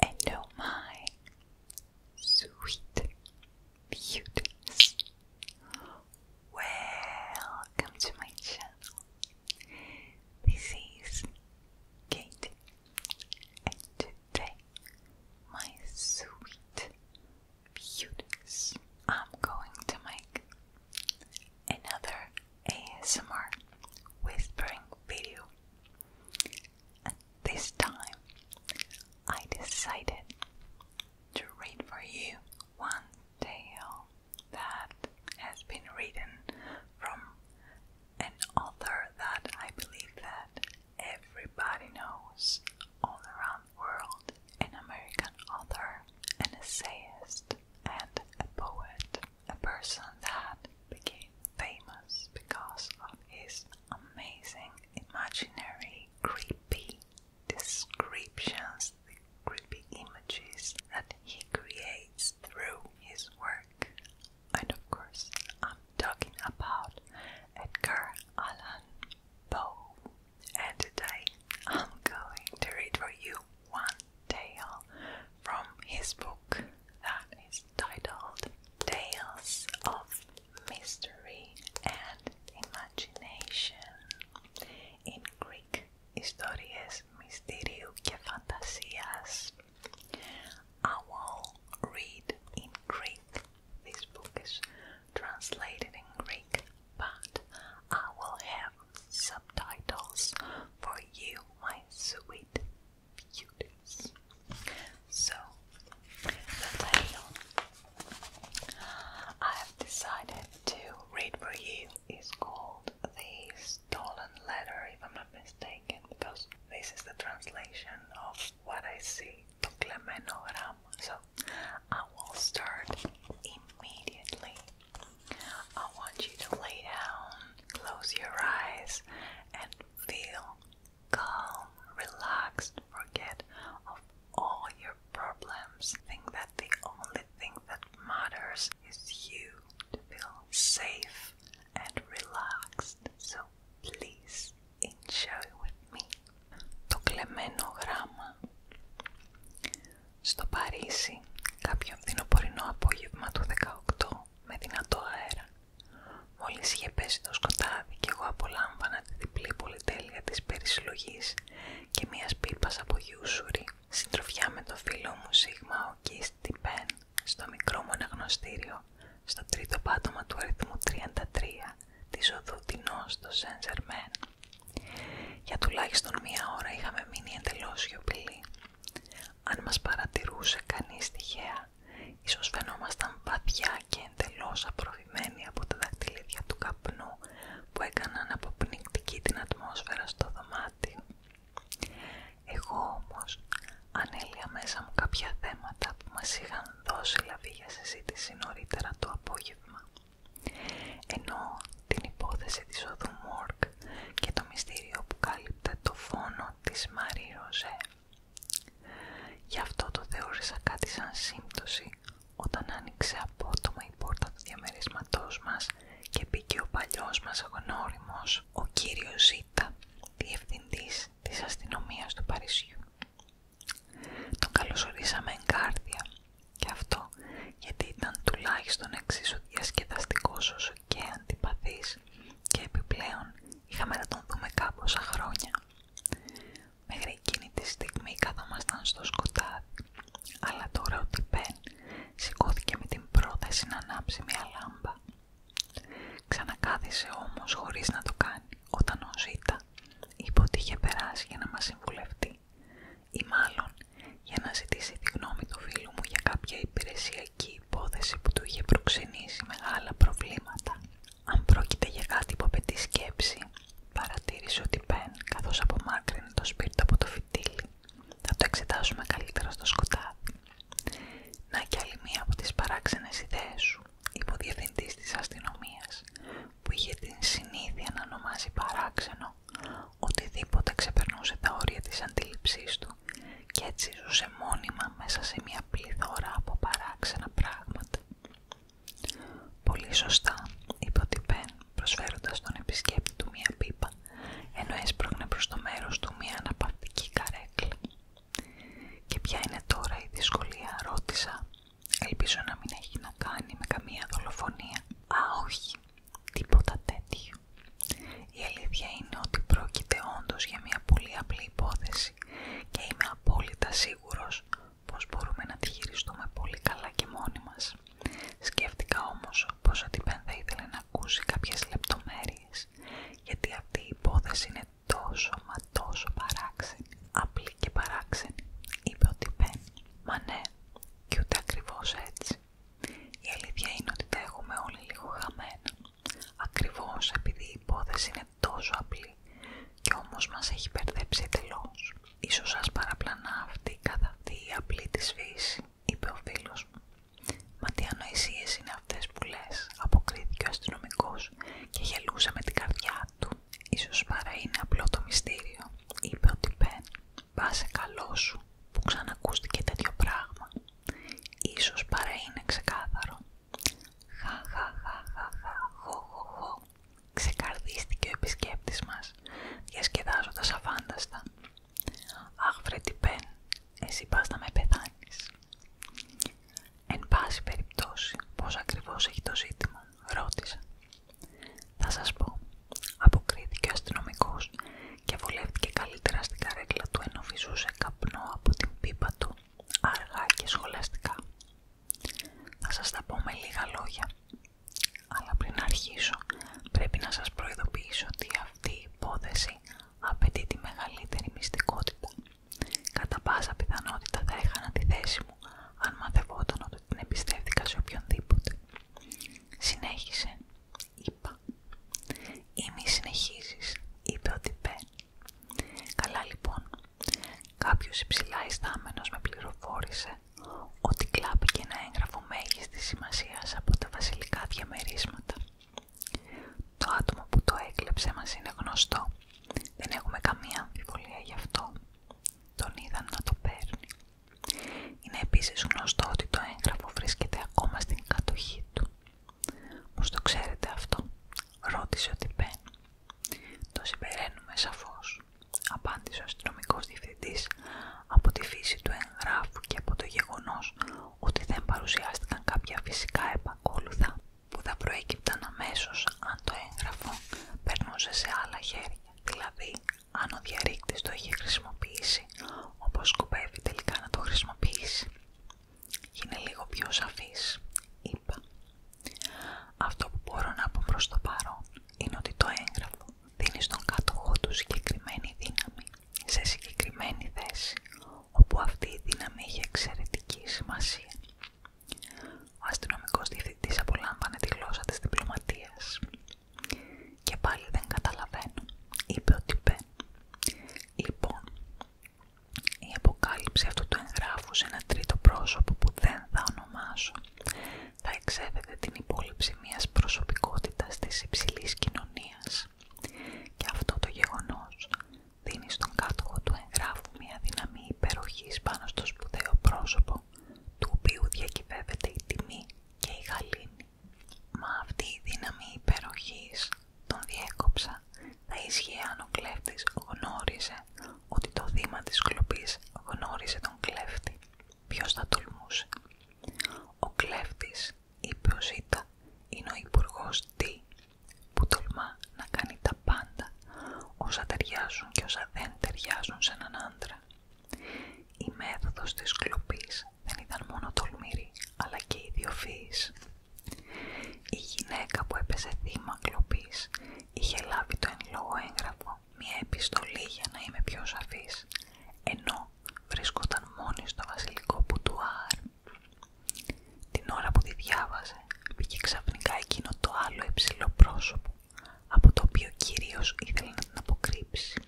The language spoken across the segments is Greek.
And oh my sweet beauties, welcome to my channel. This is Katie, and today, my sweet beauties, I'm going to make another ASMR whispering video. this time I decided to read for you one tale that has been written from an author that I believe that everybody knows all around the world, an American author, an essayist and a poet a person that became famous because of his amazing, imaginary, creepy descriptions, the creepy images that he creates through his work. And of course, I'm talking about Edgar Allan Poe. And today I'm going to read for you one tale from his book that is titled Tales of Mystery and Imagination. In Greek, Histories, Mysterio Fantasias. I will read in Greek. This book is translated in Greek, but I will have subtitles for you, my sweet beauties. So, the title I have decided to read for you is called The Stolen Letter, if I'm not mistaken, because this is the translation of what I see to Clemenogram. So, I will start immediately I want you to lay down, close your eyes, and feel calm, relaxed, forget of all your problems. Think that the only thing that matters is you to feel safe and relaxed. So please enjoy with me. Το κλεμμένο Στο Παρίσι, κάποιο φθινοπορεινό απόγευμα του 18 με δυνατό αέρα. Μόλις είχε πέσει το σκοτάδι και εγώ απολάμβανα τη διπλή πολυτέλεια της περισυλλογής και μιας πίπας από γιούσουρη, συντροφιά με το φίλο μου Σίγμα Οκίστη Πεν, στο μικρό μοναγνωστήριο, στο τρίτο πάτωμα του αριθμού 33, της οδού στο Σεντζερμέν. Για τουλάχιστον μία ώρα είχαμε μείνει εντελώς σιωπηλοί. Αν μας παρατηρούσε κανείς τυχαία, ίσως φαινόμασταν βαθιά και εντελώς απροβημένοι από τα δακτυλίδια του καπνού που έκαναν αποπνικτική την ατμόσφαιρα στο δωμάτι. Εγώ όμως ανέλυα μέσα μου κάποια θέματα που μας είχαν δώσει λαβή για συζήτηση νωρίτερα το απόγευμα. Ενώ την υπόθεση της οδού Μόρκ και το μυστήριο που κάλυπτε το φόνο της Μαρή Ροζέ. Γι' αυτό το θεώρησα κάτι σαν σύμπτωση όταν άνοιξε απότομα η πόρτα του διαμερισματός μας και μπήκε ο παλιός μας γνώριμο ο κύριος Ζήτα, διευθυντής της αστυνομίας του Παρισιού. Τον καλωσορίσαμε εγκάρδια και αυτό γιατί ήταν τουλάχιστον εξίσου διασκεδαστικός όσο και αντιπαθής και επιπλέον είχαμε να τον δούμε κάμποσα χρόνια. Μέχρι εκείνη τη στιγμή καθόμασταν στο σκοτάδι, αλλά τώρα ο Τιπέν σηκώθηκε με την πρόθεση να ανάψει μια λάμπα. Ξανακάθισε όμως χωρίς να το κάνει, όταν ο Ζήτα είπε ότι είχε περάσει για να μας συμβουλευτεί ή μάλλον για να ζητήσει τη γνώμη του φίλου μου για κάποια υπηρεσιακή η υπόθεση που του είχε προξενήσει μεγάλα προβλήματα. Αν πρόκειται για κάτι που απαιτεί σκέψη, παρατήρησε ότι Πεν, καθώς απομάκρυνε το σπίρτο από το φυτίλι, θα το εξετάσουμε καλύτερα στο σκοτάδι. Να κι άλλη μία από τις παράξενες ιδέες σου, είπε της αστυνομίας, που είχε την συνήθεια να ονομάζει παράξενο οτιδήποτε ξεπερνούσε τα όρια της αντίληψής του και έτσι ζούσε μόνιμα μέσα σε μια πληθώρα από παράξενα πράγματα. Πολύ σωστά, είπε ο Τιπέν, προσφέροντας τον επισκέπτη του μία πίπα, ενώ έσπρωγνε προς το μέρος του μία αναπαυτική καρέκλα. «Και ποια είναι τώρα η δυσκολία» ρώτησα. «Ελπίζω να μην έχει να κάνει με καμία δολοφονία». «Α, όχι», τίποτα τέτοιο. Η αλήθεια είναι ότι πρόκειται όντως για μια πολύ απλή υπόθεση και είμαι απόλυτα σίγουρος πως μπορούμε να τη χειριστούμε πολύ καλά και μόνοι μας. Σκέφτηκα όμως πως ο Τιπέν θα ήθελε να ακούσει κάποιες λεπτομέρειες γιατί αυτή η υπόθεση είναι τόσο μα τόσο παράξενη, απλή και παράξενη, είπε ο Τιπέν. Μα ναι, και ούτε ακριβώς έτσι. Η αλήθεια είναι ότι τα έχουμε όλοι λίγο χαμένα, ακριβώς επειδή η υπόθεση είναι τόσο απλή και όμως μας έχει περδεψει τελως Ίσως σας παραπλανά αυτή καθ' αυτή απλή της φύση, είπε ο φίλος μου. Μα τι ανοησίες είναι αυτές που λες, αποκρίθηκε ο αστυνομικός και γελούσε με την καρδιά του. Ίσως παρά είναι απλό το μυστήριο, είπε ο Τιπέν. Πάσε καλό σου που ξανακούστηκε τέτοιο πράγμα ίσως παρά είναι ξεκάθαρο. Χα χα χα χα χα ξεκαρδίστηκε ο επισκέπτης μας, διασκεδάζοντας αφάνταστα. Αχ βρε εσύ πας να με πεθάνεις. Εν πάση περιπτώσει, πώς ακριβώς έχει το ζήτημα, ρώτησα. Θα σας πω, αποκρίθηκε ο αστυνομικός και βολεύτηκε καλύτερα στην καρέκλα του ενώ σε καπνό από την πίπα του αργά και σχολαστικά. Θα σας τα πω με λίγα λόγια, αλλά πριν αρχίσω πρέπει να σας προειδοποιήσω ότι αυτή η υπόθεση απαιτεί τη μεγαλύτερη μυστικότητα. Κατά πάσα πιθανότητα θα έχανα τη θέση μου αν μαθευόταν ότι την εμπιστεύτηκα σε οποιονδήποτε. Συνέχισε είπα. Ή μη συνεχίζεις, είπε ο Τιπέ. Καλά λοιπόν, κάποιος υψηλά ιστάμενος με πληροφόρησε ότι κλάπηκε ένα έγγραφο μέγιστης σημασίας από τα βασιλικά διαμερίσματα. Το άτομο που το έκλεψε μας είναι γνωστό. Δεν έχουμε καμία αμφιβολία γι' αυτό. Τον είδαν να το παίρνει. Είναι επίσης γνωστό ότι το έγγραφο βρίσκεται ακόμα στην κατοχή του. Μους το ξέρετε αυτό, ρώτησε ο Τιπέν. Το συμπεραίνουμε σαφώς, απάντησε ο αστυνομικό διευθυντής από τη φύση του εγγράφου και από το γεγονός ότι δεν παρουσιάστηκαν κάποια φυσικά επακόλουθα που θα προέκυπταν αμέσως αν το έγγραφο περνούσε σε άλλα χέρια, δηλαδή αν ο διαρρήκτης το είχε χρησιμοποιήσει όπως σκοπεύει τελικά να το χρησιμοποιήσει. Είναι λίγο πιο σαφής, είπα. Αυτό που μπορώ να πω προ το παρόν είναι ότι το έγγραφο δίνει στον κάτω του συγκεκριμένη δύναμη σε συγκεκριμένη θέση, όπου αυτή η δύναμη έχει εξαιρετική σημασία. Ο αστυνομικό διευθυντή απολάμβανε τη γλώσσα τη διπλωματία, και πάλι δεν καταλαβαίνω, είπε ο Λοιπόν, η αποκάλυψη αυτού του εγγράφου σε ένα τρίτο πρόσωπο που δεν θα ονομάσω θα εξέβεται την υπόλοιψη μιας προσωπικότητας της υψηλής κοινωνίας και αυτό το γεγονός δίνει στον κάτοχο του εγγράφου μια δύναμη υπεροχής πάνω στο σπουδαίο πρόσωπο του οποίου διακυβεύεται η τιμή και η γαλήνη. Μα αυτή η δύναμη υπεροχής τον διέκοψα. Θα ίσχυε αν ο κλέφτης γνώριζε ότι το θύμα της κλοπής γνώρισε τον κλέφτη. Ποιος θα τολμούσε. Ο κλέφτης, είπε ο Ζήτα, είναι ο υπουργό Τι, που τολμά να κάνει τα πάντα όσα ταιριάζουν και όσα δεν ταιριάζουν σε έναν άντρα. Η μέθοδος της κλοπής δεν ήταν μόνο τολμηρή, αλλά και ιδιοφύης. Η γυναίκα που έπεσε θύμα κλοπής είχε λάβει το εν λόγω έγγραφο μια επιστολή για να είμαι πιο σαφής, ενώ βρισκόταν μόνη στο βασιλικό πουτουάρ. Την ώρα που τη διάβαζε, πήγε ξαφνικά εκείνο το άλλο υψηλό πρόσωπο, από το οποίο κυρίως ήθελε να την αποκρύψει.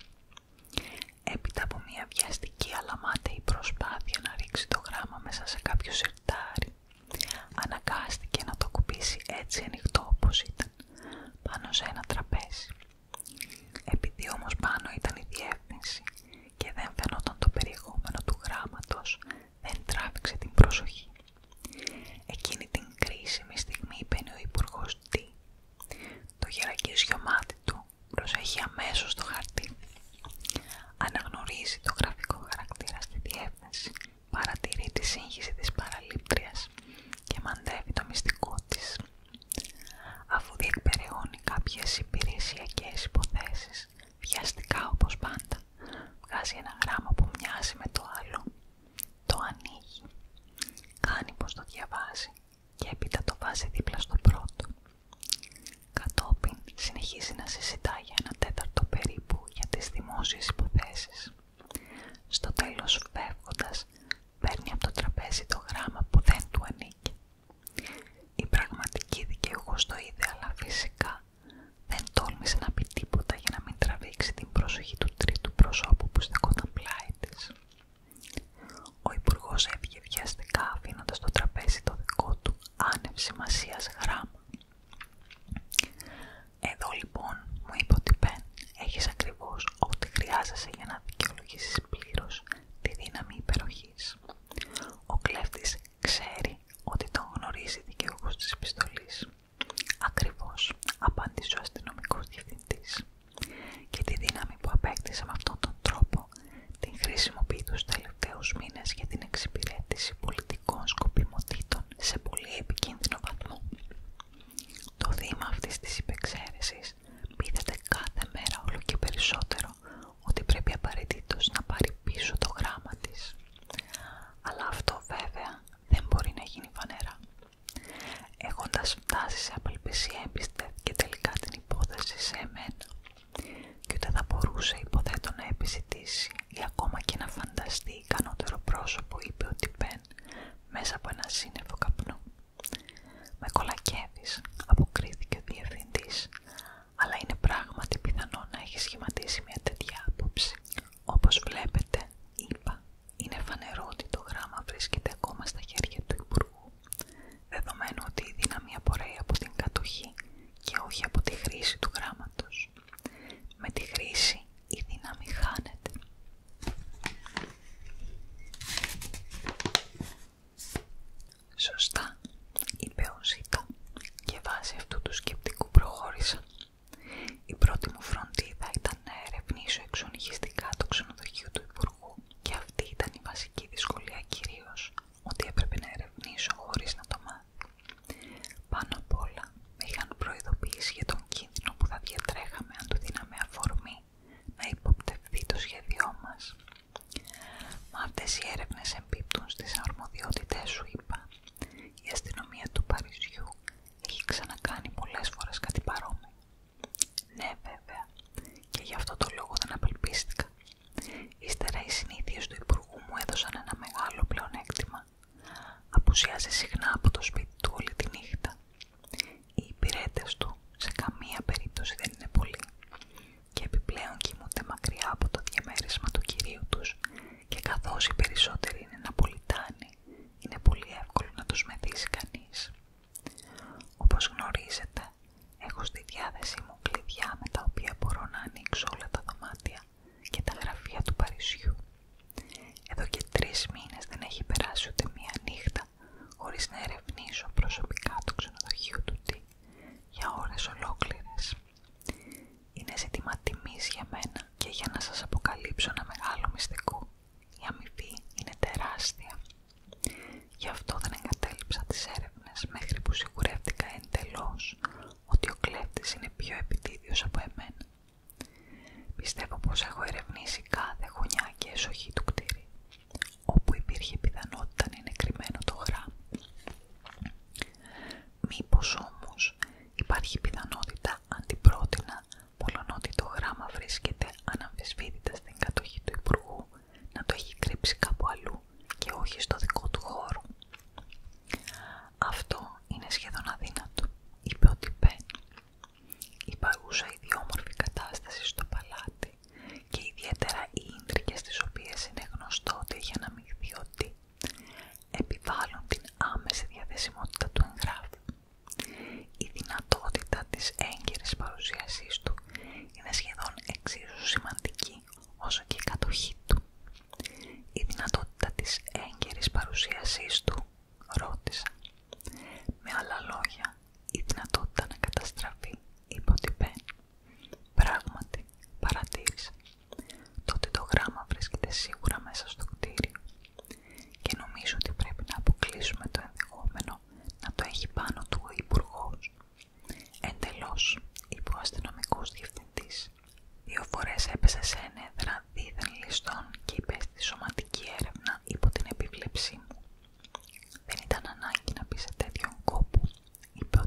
Έπειτα από μια βιαστική αλλά μάταιη προσπάθεια να ρίξει το γράμμα μέσα σε κάποιο σιρτάρι, αναγκάστηκε να το κουμπίσει έτσι ανοιχτό όπως ήταν, πάνω σε ένα τραπέζι. Επειδή όμως πάνω ήταν η διεύθυνση και δεν φαινόταν το περιεχόμενο του γράμματος, δεν τράβηξε την προσοχή. Εκείνη την κρίσιμη στιγμή μπαίνει ο υπουργό Το γερακίσιο μάτι του προσέχει αμέσως το χαρτί. Αναγνωρίζει το γραφικό χαρακτήρα στη διεύθυνση, παρατηρεί τη σύγχυση της παραλήπτριας και μαντεύει το μυστικό της. Αφού διεκπεραιώνει κάποιες υπηρεσιακές υποθέσεις, βιαστικά όπως πάντα, βγάζει ένα γράμμα που μοιάζει με το άλλο. Το ανοίγει. Κάνει πως το διαβάζει και έπειτα το βάζει δίπλα στο πρώτο. Κατόπιν συνεχίζει να συζητά για ένα τέταρτο περίπου για τις δημόσιες υποθέσεις. Στο τέλος φεύγοντας παίρνει από το τραπέζι το γράμμα που δεν του ανήκει. Η πραγματική δικαιούχος το είδε αλλά φυσικά δεν τόλμησε να πει τίποτα για να μην τραβήξει την προσοχή του τρίτου προσώπου που στεκόταν πλάι της. Ο υπουργό έφυγε βιαστικά αφήνοντα στο τραπέζι το δικό του άνευ σημασία γράμμα. Εδώ λοιπόν μου είπε ότι Πεν έχει ακριβώ ό,τι χρειάζεσαι για να δικαιολογήσει πλήρω τη δύναμη υπεροχή. Ο κλέφτη ξέρει ότι τον γνωρίζει δικαιούχο της επιστολή. Ακριβώ, απάντησε ο αστυνομικό διευθυντή και τη δύναμη που απέκτησε με αυτόν τον τρόπο την χρησιμοποιεί τους τελευταίους μήνες για την εξυπηρέτηση πολιτικών σκοπιμοτήτων σε πολύ επικίνδυνο βαθμό. Το θύμα αυτής της υπεξαίρεσης πείθεται κάθε μέρα όλο και περισσότερο ότι πρέπει απαραίτητο να πάρει πίσω το γράμμα της. Αλλά αυτό βέβαια δεν μπορεί να γίνει φανερά. Έχοντας φτάσει σε απελπισία την υπόθεση σε εμένα και ούτε θα μπορούσε υποθέτω να επιζητήσει ή ακόμα και να φανταστεί ικανότερο πρόσωπο είπε ο Τιπέν μέσα από ένα σύννεφο καπνό. «Με κολακεύεις», αποκρίθηκε ο διευθυντής, «αλλά είναι πράγματι πιθανό να έχει σχηματίσει μια τέτοια άποψη. Όπως βλέπετε, είπα, είναι φανερό ότι το γράμμα βρίσκεται ακόμα στα χέρια του Υπουργού δεδομένου ότι η δύναμη απορρέει από την κατοχή και όχι από τη χρήση του γράμματος. Με τη χρήση η δύναμη χάνεται. Σωστά, είπε ο Ζήτα και βάσει αυτού του σκεπτικού προχώρησα. Η πρώτη μου φροντίδα ήταν να ερευνήσω εξονυχιστικά το ξενοδοχείο του Υπουργού και αυτή ήταν η βασική δυσκολία κυρίως, ότι έπρεπε να ερευνήσω χωρίς να το μάθει. Πάνω απ' όλα με είχαν προειδοποιήσει για τον κίνδυνο που θα διατρέχαμε αν του δίναμε αφορμή να υποπτευθεί το σχέδιό μας. Μα αυτές οι έρευνες εμπίπτουν στις αρμοδιότητες σου, είπα. Η αστυνομία του Παρισιού έχει ξανακάνει πολλές φορές κάτι παρόμοιο ναι, βέβαια, και γι' αυτό το λόγο δεν απελπίστηκα. Ύστερα οι συνήθειε του Υπουργού μου έδωσαν ένα μεγάλο πλεονέκτημα. Αποουσιάζει συχνά από το σπίτι του όλη τη νύχτα. Οι υπηρέτε του σε καμία περίπτωση δεν είναι πολλοί και επιπλέον κοιμούνται μακριά από το διαμέρισμα του κυρίου τους και καθώς οι περισσότεροι είναι Ναπολιτάνοι, είναι πολύ εύκολο να τους μεθύσει κανείς. Όπως γνωρίζετε, Έχω στη διάθεσή μου κλειδιά με τα οποία μπορώ να ανοίξω όλα τα δωμάτια και τα γραφεία του Παρισιού. Εδώ και τρεις μήνες δεν έχει περάσει ούτε μία νύχτα χωρίς να ερευνήσω προσωπικά το ξενοδοχείο του Τι για ώρες ολόκληρες. Είναι ζήτημα τιμής για μένα και για να σας αποκαλύψω ένα μεγάλο μυστικό. Η αμοιβή είναι τεράστια. Γι' αυτό δεν εγκατέλειψα τις έρευνες μέχρι που σιγουρεύτηκα εντελώς ότι ο κλέφτης είναι πιο επιτίδιος από εμένα. Πιστεύω πως έχω ερευνήσει κάθε γωνιά και εσοχή του κτίριου, όπου υπήρχε πιθανότητα να είναι κρυμμένο το γράμμα. Μήπως όμως υπάρχει πιθανότητα αντιπρότεινα, μόλον το γράμμα βρίσκεται αναμφισβήτητα στην κατοχή του Υπουργού να το έχει κρύψει κάπου αλλού και όχι στο δικό του χώρο. Αυτό είναι σχεδόν αδύνατο, είπε ο Τιπέ. Η παρούσα ιδιόμορφη κατάσταση στο παλάτι και ιδιαίτερα οι ίντρικες τις οποίες είναι γνωστό ότι έχει αναμειχθεί ότι επιβάλλουν την άμεση διαθεσιμότητα του εγγράφου. Η δυνατότητα της έγκυρης παρουσίασής του είναι σχεδόν εξίσου σημαντική όσο και η κατοχή του. Η δυνατότητα της έγκαιρης παρουσίασής του, ρώτησα. Με άλλα λόγια, η δυνατότητα να καταστραφεί, υποτυπέ. Πράγματι, παρατήρησα. Τότε το γράμμα βρίσκεται σίγουρα μέσα στο κτίριο και νομίζω ότι πρέπει να αποκλείσουμε το ενδεχόμενο να το έχει πάνω του ο υπουργό. Εντελώς, είπε ο αστυνομικό διευθυντή. Δύο φορέ έπεσε σε ένεδρα δίδεν ληστών και υπέστη σωματική έρευνα υπό την επιβλέψή μου. Δεν ήταν ανάγκη να πει σε τέτοιον κόπο, είπε ο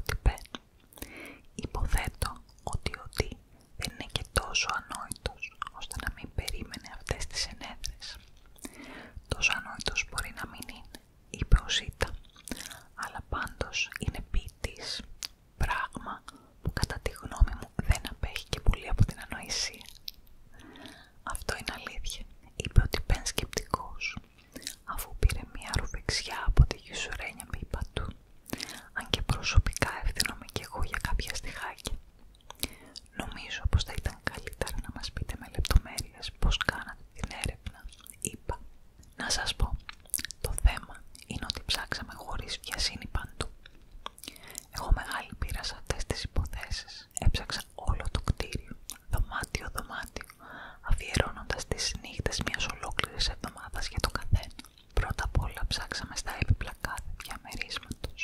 Υποθέτω ότι ο Τί δεν είναι και τόσο ανόητος ώστε να μην περίμενε αυτές τις ενέδρες. Τόσο ανόητος μπορεί να μην είναι, ή αλλά πάντως είναι ποιητής, πράγμα που κατά τη γνώμη μου δεν απέχει και πολύ από την ανοησία. Αυτό είναι αλήθεια, είπε ο Τιπέν σκεπτικός, αφού πήρε μια ρουβεξιά από τη γιουσουρένια πίπα του, αν και προσωπικά ευθυνόμαι και εγώ για κάποια στοιχάκια. Νομίζω πως θα ήταν καλύτερα να μας πείτε με λεπτομέρειες πως κάνατε την έρευνα. Είπα. Να σας πω. Το θέμα είναι ότι ψάξαμε χωρίς βιασύνη παντού. Έχω μεγάλη πείρα σε αυτές τις υποθέσεις. Έψαξα όλο το κτίριο, δωμάτιο-δωμάτιο, αφιερώνοντας τις νύχτες μιας ολόκληρης εβδομάδας για το καθένα. Πρώτα απ' όλα ψάξαμε στα έπιπλα κάθε διαμερίσματος.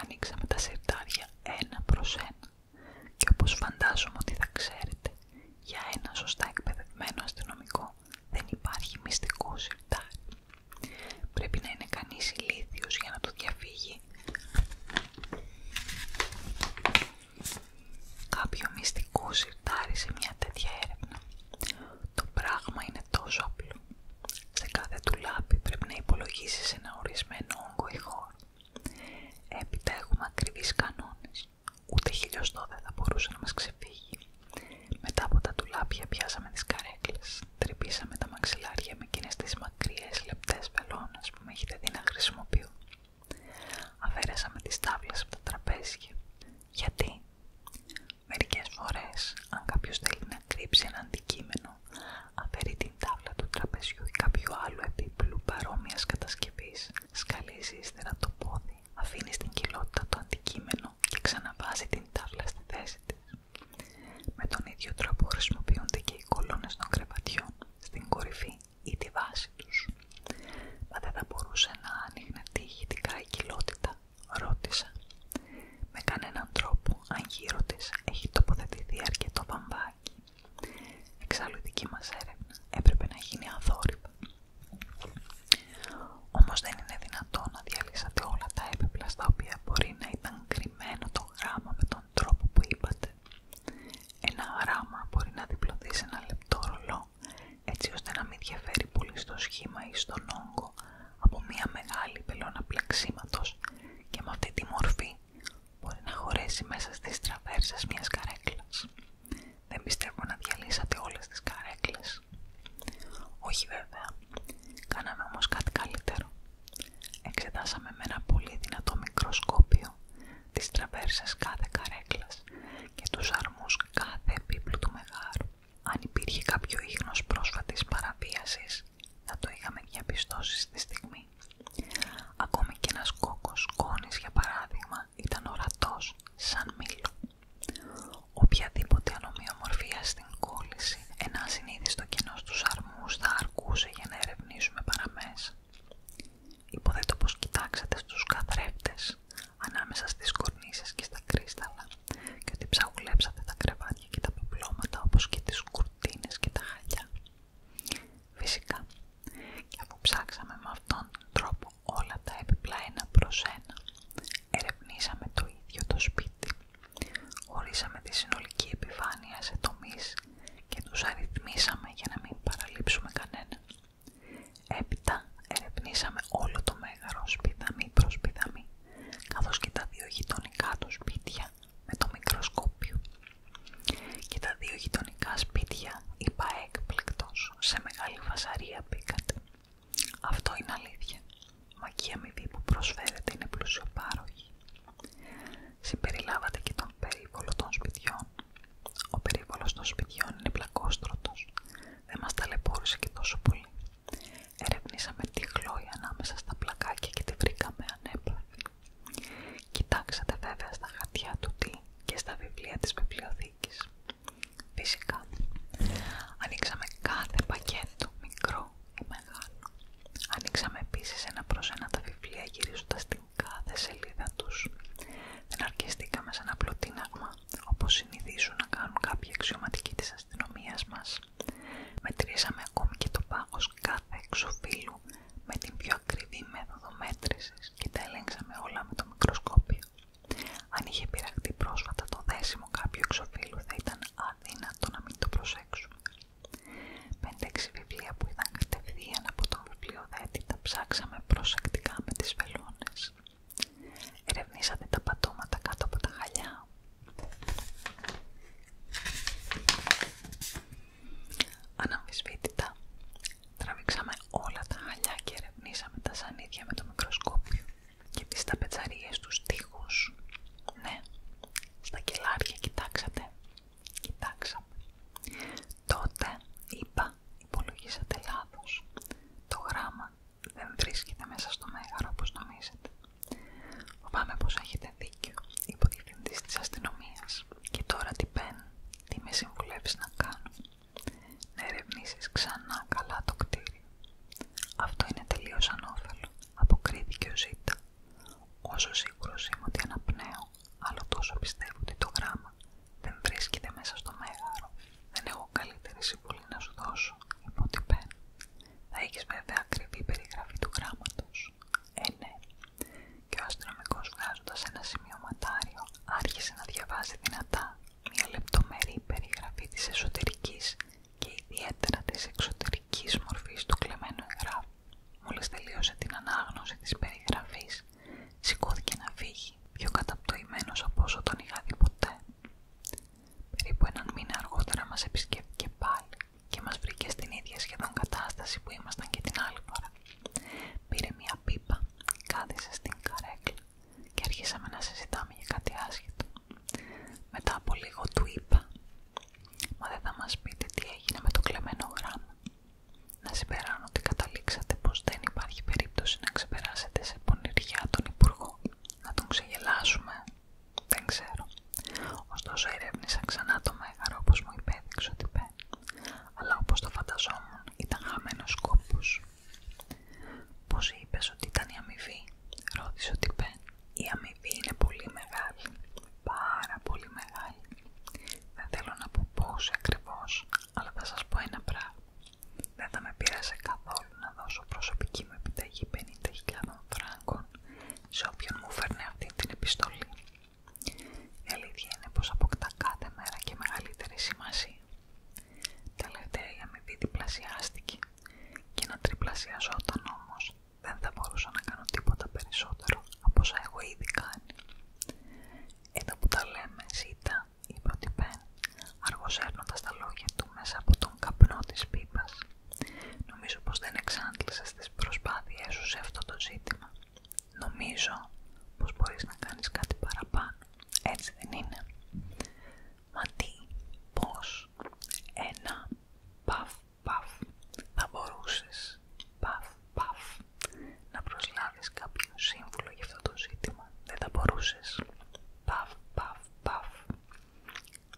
Ανοίξαμε τα σερτάρια ένα προς ένα και όπως φαντάζομαι ότι θα ξέρετε, για ένα σωστά εκπαιδευμένο αστυνομικό δεν υπάρχει μυστικό σιρτάρι. Πρέπει να είναι κανείς ηλίθιος για να το διαφύγει. Κάποιο μυστικό σιρτάρι σε μια τέτοια έρευνα. Το πράγμα είναι τόσο απλό. Σε κάθε τουλάπι πρέπει να υπολογίσεις ένα ορισμένο όγκο ή Έπειτα έχουμε ακριβείς κανόνες. Ούτε χιλιοστό δεν θα μπορούσε να μας ξεφύγει. Μετά από τα τουλάπια πιάσαμε τις καρέκλες, τρυπήσαμε τα μαξιλάρια με εκείνες τις μακριές λεπτές πελώνας που με έχετε δει να χρησιμοποιώ. Αφαίρεσαμε τις τάβλες από τα τραπέζια. Γιατί? Μερικές φορές, αν κάποιος θέλει να κρύψει ένα αντικείμενο, αφαιρεί την τάβλα του τραπεζιού ή κάποιου άλλου επίπλου παρόμοιας κατασκευής, σκαλίζει ύστερα το πόδι, αφήνει στην κοιλότητα το αντικείμενο και ξαναβάζει την τάβλα στη θέση της. Με τον ίδιο τρόπο χρησιμοποιούνται και οι κολόνες των κρεβατιών στην κορυφή ή τη βάση τους. «Μα δεν θα μπορούσε να άνοιγνε τη η κοιλότητα» ρώτησα. «Με κανέναν τρόπο αν γύρω της έχει τοποθετηθεί αρκετό βαμβάκι. Εξάλλου η δική μας έρευνα έπρεπε να γίνει αθόρυβα. Όμως δεν είναι δυνατό να διαλύσατε όλα τα έπιπλα στα οποία μπορεί να ήταν κρυμμένο το γράμμα με τον τρόπο που είπατε. Ένα γράμμα μπορεί να διπλωθεί σε ένα λεπτό ρολό έτσι ώστε να μην διαφέρει πολύ στο σχήμα ή στον όγκο από μια μεγάλη πελώνα πλαξίματο και με τη μορφή μπορεί να χωρέσει μέσα στις τραβέρσε μιας καρέκλας. Δεν πιστεύω να διαλύσατε όλες τις καρέκλες. Όχι βέβαια. Κάναμε όμως κάτι καλύτερο. Εξετάσαμε με ένα πολύ δυνατό μικροσκόπιο τις τραβέρσε κάθε καρέκλας και τους αρμούς κάθε επίπλου του μεγάρου. Αν υπήρχε κάποιο ίχνος πρόσφατης παραβίασης, θα το είχαμε διαπιστώσει στη στιγμή. Ακόμη και ένας κόκκος κόνης, για παράδειγμα ήταν ορατός σαν μήλο. Οποιαδήποτε ανομοιομορφία στην κόλληση, ένα ασυνείδηστο κοινό του αρμούς θα αρκούσε για να ερευνήσουμε παραμέσα. Υποδέτω πως κοιτάξατε στους καθρέφτες ανάμεσα στις κορνίσες και στα κρίσταλα και ότι ψαγουλέψατε τα κρεβάτια και τα πεπλώματα όπως και τις κουρτίνες και τα χαλιά. Φυσικά. Και αφού ψάξαμε με αυτόν τον τρόπο όλα τα έπιπλα ένα προς ένα, ερευνήσαμε το ίδιο το σπίτι. Ορίσαμε τη συνολική επιφάνεια σε τομείς και τους αριθμίσαμε για να μην παραλείψουμε κανένα. Έπειτα ερευνήσαμε όλο το μεγάρο πιδαμή προς σπίδαμι, καθώς και τα δύο γειτονικά του σπίτια με το μικροσκόπιο και τα δύο γειτονικά σπίτια είπα έκπληκτος, σε μεγάλη φασαρία μπήκατε. Αυτό είναι αλήθεια. Μα και η αμοιβή που προσφέρετε είναι πλούσιο πάροχη. Συμπεριλάβατε και τον περίβολο των σπιτιών. Ο περίβολος των σπιτιών είναι πλακόστρωτος. Δεν μας ταλαιπώρησε και τόσο πολύ. Ερευνήσαμε τη χλόη ανάμεσα στα πλακάκια και τη βρήκαμε Κοιτάξατε βέβαια στα χαρτιά του τι και στα βιβλία της βιβλιοθήκης. Φυσικά, ανοίξαμε κάθε πακέτο, μικρό ή μεγάλο. Ανοίξαμε επίσης ένα προς ένα τα βιβλία γυρίζοντας την κάθε σελίδα τους. Δεν αρκεστήκαμε σε ένα απλό τίναγμα, όπως συνηθίζουν να κάνουν κάποιοι αξιωματικοί της αστυνομίας μας. Μετρήσαμε ακόμη και το πάγος κάθε εξωφύλου με την πιο ακριβή μέθοδο μέτρησης και τα ελέγξαμε όλα με το μικροσκόπιο. Αν είχε πειραχτεί πρόσφατα το δέσιμο κάποιου εξωφύλου θα ήταν αδύνατο να μην το προσέξουμε. 5-6 βιβλία που είδαν κατευθείαν από τον βιβλιοδέτη τα ψάξαμε προσεκτικά με τις βελόνες. Ερευνήσατε τα πατώματα κάτω από τα χαλιά. Αναμφισβήτητα τραβήξαμε όλα τα χαλιά και ερευνήσαμε τα σανίδια με το μικροσκόπιο και τις ταπετσαρίες τους τοίχου. Ναι, στα κελάρια κοιτάξατε. Κοιτάξαμε. Τότε, είπα, υπολογίσατε λάθος. Το γράμμα δεν βρίσκεται μέσα στο μέγαρο όπως νομίζετε. Φοβάμαι πως έχετε δίκιο, είπε ο διευθυντής της αστυνομίας. Και τώρα τι πεν, τι με συμβουλεύεις να κάνω. Να ερευνήσει ξανά καλά το κτίριο. Αυτό είναι τελείω ανώφελο, αποκρίθηκε ο Ζήτα. Όσο σίγουρο είμαι ότι αναπνέω, άλλο τόσο πιστεύω ότι το γράμμα δεν βρίσκεται μέσα στο μέγαρο. Δεν έχω καλύτερη συμβουλή να σου δώσω, είπε ο Θα έχει βέβαια ακριβή περιγραφή του γράμματο. Ε, ναι. Και ο αστυνομικό βγάζοντα ένα σημειωματάριο άρχισε να διαβάζει δυνατά μια λεπτομερή περιγραφή της εσωτερικής και ιδιαίτερα της εξωτερικής μορφής του κλεμμένου εγγράφου. Μόλις τελείωσε την ανάγνωση της περιγραφής, σηκώθηκε να φύγει, πιο καταπτωημένος από όσο τον είχα δει ποτέ. Περίπου έναν μήνα αργότερα μας επισκέφθηκε πάλι και μας βρήκε στην ίδια σχεδόν κατάσταση που ήμασταν και την άλλη φορά. Πήρε μια πίπα, κάθισε στην καρέκλα και αρχίσαμε να συζητάμε για κάτι άσχετο. Μετά από λίγο του είπα «Μα δεν θα μας πείτε τι έγινε με το κλεμμένο γράμμα». Να συμπεράνω ότι καταλήξατε πως δεν υπάρχει περίπτωση να ξεπεράσετε σε πονηριά τον Υπουργό. Να τον ξεγελάσουμε, δεν ξέρω. Ωστόσο ερεύνησα ξανά το μέγαρο όπως μου υπέδειξε ότι μπαίνει, αλλά όπως το φανταζόμουν ήταν χαμένος κόπος. «Πώς είπες ότι ήταν η αμοιβή» ρώτησε ο Τιπέ. «Η αμοιβή είναι πολύ μεγάλη, πάρα πολύ μεγάλη. Δεν θέλω να πω πώς ακριβώς, αλλά θα σας πω ένα πράγμα. Δεν θα με πειράζει καθόλου να δώσω προσωπική μου επιταγή 50.000 φράγκων σε όποιον μου φέρνε αυτή την επιστολή. Η αλήθεια είναι πως αποκτά κάθε μέρα και μεγαλύτερη σημασία. Τελευταία η αμοιβή διπλασιάστηκε και να τριπλασιαζόταν όμως δεν θα μπορούσα να κάνω τίποτα περισσότερο από όσα έχω ήδη κάνει. Εδώ που τα λέμε ζήτα ή πρωτυπέν, αργοσέρνοντας τα λόγια του μέσα από τον καπνό της πίπας. Νομίζω πως δεν εξάντλησες τις προσπάθειές σου σε αυτό το ζήτημα Νομίζω πως μπορείς να κάνεις κάτι παραπάνω. Έτσι δεν είναι. Μα τι, πως ένα παφ παφ θα μπορούσες παφ παφ να προσλάβεις κάποιο σύμβουλο για αυτό το ζήτημα. Δεν θα μπορούσες. Παφ παφ παφ.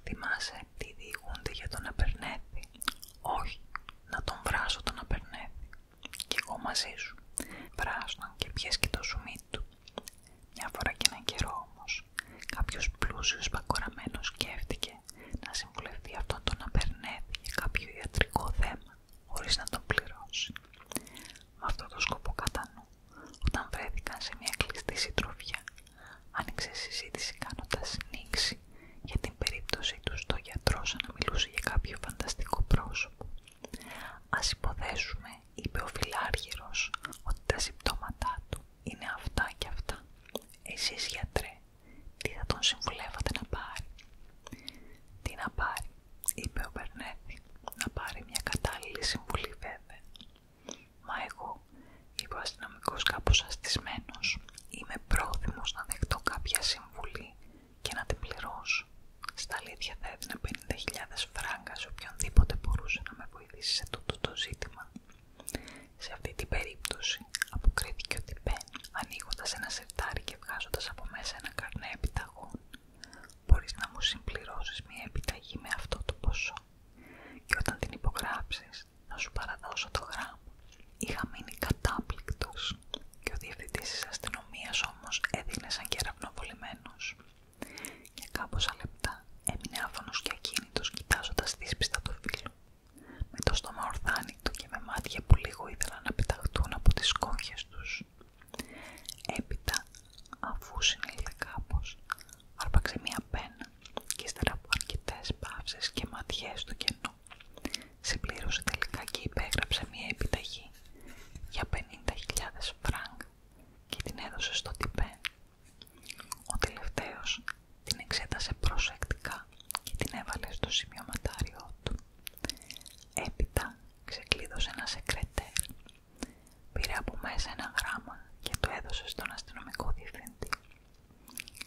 Θυμάσαι τι διηγούνται για να Απερνέθη. Όχι, να τον βράσω τον να περνεύει. Κι εγώ μαζί σου. και πιες και το σουμί του. Μια φορά και έναν καιρό όμως, κάποιος πλούσιος πακοραμένος σκέφτηκε να συμβουλευτεί αυτόν τον απερνεύει για κάποιο ιατρικό θέμα, χωρίς να τον πληρώσει. μα αυτό το σκοπό κατά νου, όταν βρέθηκαν σε μια κλειστή συντροφιά, άνοιξε συζήτηση κάνοντας νήξη για την περίπτωση του στο σαν να μιλούσε για κάποιο φανταστικό πρόσωπο. Ας υποθέσουμε, είπε ο φιλάργυρος, ότι τα συμπτώματά του είναι αυτά και αυτά. Εσείς γιατρέ, τι θα τον συμβουλεύατε να πάρει. Τι να πάρει, είπε ο Μπερνέθη, να πάρει μια κατάλληλη συμβουλή βέβαια. Μα εγώ, είπε ο αστυνομικός κάπως αστισμένος, Είμαι πρόθυμος να δεχτώ κάποια συμβουλή και να την πληρώσω. Στα αλήθεια θα έδινα 50.000 φράγκα σε οποιονδήποτε μπορούσε να με βοηθήσει σε τούτο το ζήτημα. Σε αυτή την περίπτωση αποκρίθηκε ότι Μπεν, ανοίγοντα ένα σερτάρι και βγάζοντα από μέσα ένα καρνέ επιταγών, μπορεί να μου συμπληρώσει μια επιταγή με αυτό το ποσό. Και όταν την υπογράψει, να σου παραδώσω το γράμμα. Είχα μείνει κατάπληκτος και ο διευθυντής της αστυνομίας όμως έδινε σαν κεραυνοβολημένος. Για κάμποσα λεπτά έμεινε άφωνος και ακίνητος κοιτάζοντας δύσπιστα το φίλου, Με το στόμα του και με μάτια που λίγο ήθελαν να πεταχτούν από τις κόχες τους. Έπειτα, αφού συνήλθε κάπως, άρπαξε μία πένα και ύστερα από και ματιές του κενό σε Συμπλήρωσε τελικά και υπέγραψε μια επιταγή για 50.000 φραγκ και την έδωσε στο τυπέ. Ο τελευταίος την εξέτασε προσεκτικά και την έβαλε στο σημειωματάριό του. Έπειτα ξεκλείδωσε ένα σεκρετέρ, πήρε από μέσα ένα γράμμα και το έδωσε στον αστυνομικό διευθυντή.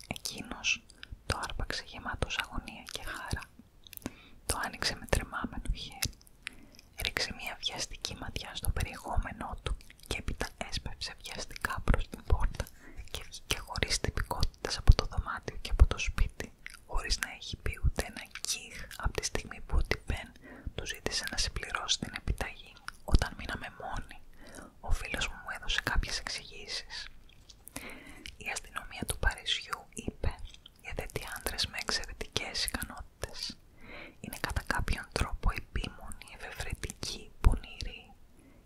Εκείνος το άρπαξε γεμάτος αγωνία και χάρα. Το άνοιξε με τρεμάμενο χέρι. Ρίξε μια βιαστική ματιά στο περιεχόμενό του και έπειτα έσπευσε βιαστικά προς την πόρτα και βγήκε χωρίς τυπικότητα από το δωμάτιο και από το σπίτι, χωρίς να έχει πει ούτε ένα κιχ από τη στιγμή που ο Τιμπέν του ζήτησε να συμπληρώσει την επιταγή. Όταν μείναμε μόνοι, ο φίλος μου έδωσε κάποιες εξηγήσεις. Η αστυνομία του Παρισιού είπε «Γιατί άντρες με εξαιρετικές ικανότητες. Είναι κατά κάποιον τρόπο επίμονοι, ευευρετικοί, πονηροί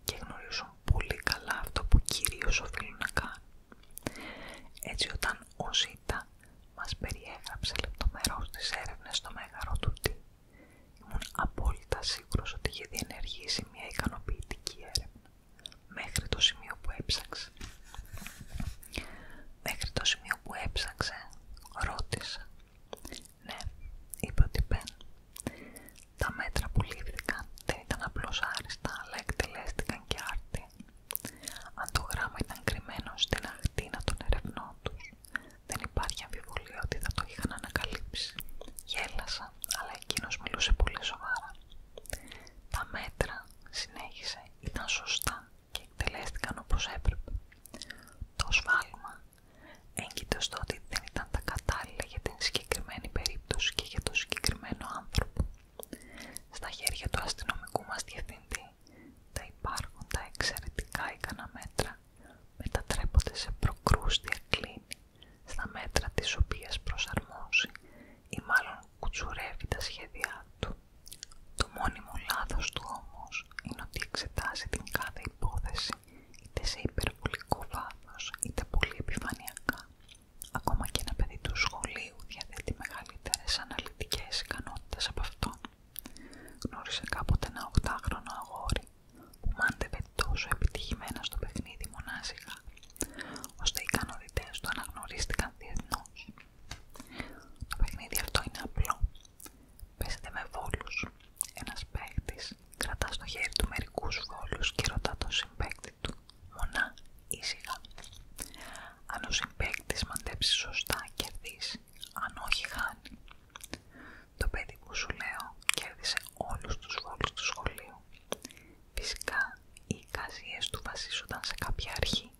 και γνωρίζουν πολύ καλά αυτό που κυρίως οφείλουν να κάνουν». Έτσι όταν ο Ζήτα μας περιέγραψε λεπτομερώς τις έρευνες στο Μέγαρο του Τι, ήμουν απόλυτα σίγουρος ότι είχε διενεργήσει μια ικανοποιητική έρευνα μέχρι το σημείο που έψαξε. Μέχρι το σημείο που έψαξε, ρώτησα. Ναι, είπε ότι Τα μέτρα που λήφθηκαν δεν ήταν απλώς άριστα, αλλά εκτελέστηκαν και άρτη. Αν το γράμμα ήταν κρυμμένο στην αχτίνα των ερευνών του. δεν υπάρχει αμφιβολία ότι θα το είχαν ανακαλύψει. Γέλασα αλλά εκείνος μιλούσε πολύ σοβαρά. Τα μέτρα, συνέχισε, ήταν σωστά και εκτελέστηκαν όπως έπρεπε. Το σφάλμα έγκυται στο ότι δεν ήταν τα κατάλληλα για την συγκεκριμένη περίπτωση και για τον συγκεκριμένο άνθρωπο. Στα χέρια του αστυνομικού μας διευθυντή, τα υπάρχοντα εξαιρετικά ικανά μέτρα μετατρέπονται σε προκρούστια κλίνη στα μέτρα της οποίας προσαρμόζει ή μάλλον κουτσουρεύει τα σχέδιά του. Το μόνιμο λάθος του όμως είναι ότι εξετάζει την κάθε υπόθεση είτε σε υπερβολικό βάθος είτε πολύ επιφανειακά. Ακόμα και ένα παιδί του σχολείου διαθέτει μεγαλύτερες αναλυτικές ικανότητες από αυτόν. Γνώρισε κάποτε οκτάχρονο αγόρι, μάντευε τόσο επιτυχημένα στο παιχνίδι μονάσιγα, ώστε οι ικανότητες του αναγνωρίστηκαν διεθνώς. Το παιχνίδι αυτό είναι απλό. Παίζεται με βόλους. Ένας πέκτης κρατά στο χέρι του μερικούς βόλους και ρωτά τον συμπαίκτη του «Μονά, σιγά. Αν ο συμπαίκτης μαντέψει σωστά, κερδίσει. Αν όχι, χάνει. Το παιδί που σου λέω κέρδισε όλους τους βόλους του σχολείου. Φυσικά οι εικασίες του βασίζονταν σε κάποια αρχή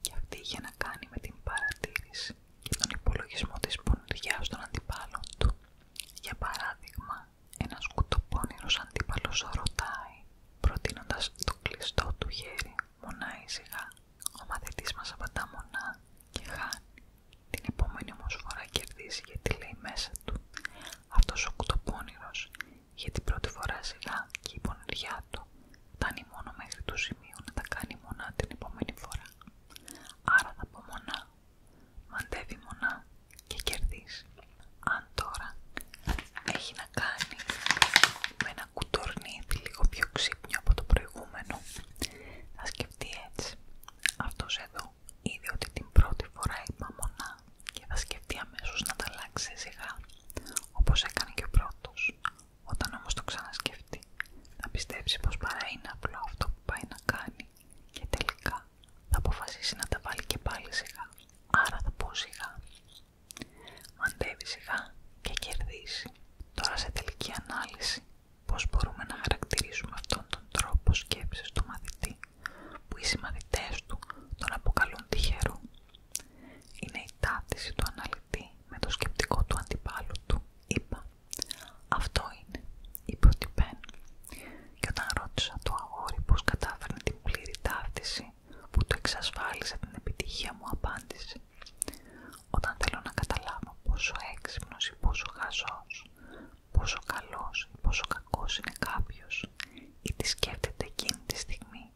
και αυτή είχε να κάνει με την παρατήρηση και τον υπολογισμό της πονηριάς των αντιπάλων του. Για παράδειγμα, ένας κουτοπώνυρος αντίπαλος ρωτάει, προτείνοντας το κλειστό του χέρι, μονάει σιγά. Ο μαθητής μας απαντά μονά και χάνει. Την επόμενη όμως φορά κερδίζει γιατί λέει μέσα του αυτός ο κουτοπόνηρος για την πρώτη φορά σιγά και η πονηριά του φτάνει μόνο μέχρι το σημείο να τα κάνει μονά την επόμενη φορά. Άρα θα πω μονά, μαντεύει μονά και κερδίζει. Αν τώρα έχει να κάνει με ένα κουτορνίδι λίγο πιο ξύπνιο από το προηγούμενο, θα σκεφτεί έτσι. Αυτός εδώ είδε ότι την πρώτη φορά είπα και θα σκεφτεί αμέσω να τα αλλάξει σιγά, όπως έκανε και ο πρώτος. Όταν όμως το ξανασκεφτεί, θα πιστέψει πως παρά είναι απλό αυτό που πάει να κάνει και τελικά θα αποφασίσει να τα βάλει και πάλι σιγά, άρα θα πω σιγά. Μαντεύει σιγά και κερδίσει. Τώρα σε τελική ανάλυση, πώς μπορούμε να χαρακτηρίσουμε αυτόν τον τρόπο σκέψης του μαθητή που οι συμμαθητές του τον αποκαλούν τυχερό. Είναι η ταύτιση του αναλυτή με το σκεπτικό του αντιπάλου του, είπα. Αυτό είναι, είπε ο Τιπέν. Και όταν ρώτησα το αγόρι πώς κατάφερνε την πλήρη ταύτιση που του εξασφάλισε την επιτυχία μου, απάντησε. Όταν θέλω να καταλάβω πόσο έξυπνος ή πόσο χαζός, πόσο καλός ή πόσο κακός είναι κάποιος ή τι σκέφτεται εκείνη τη στιγμή.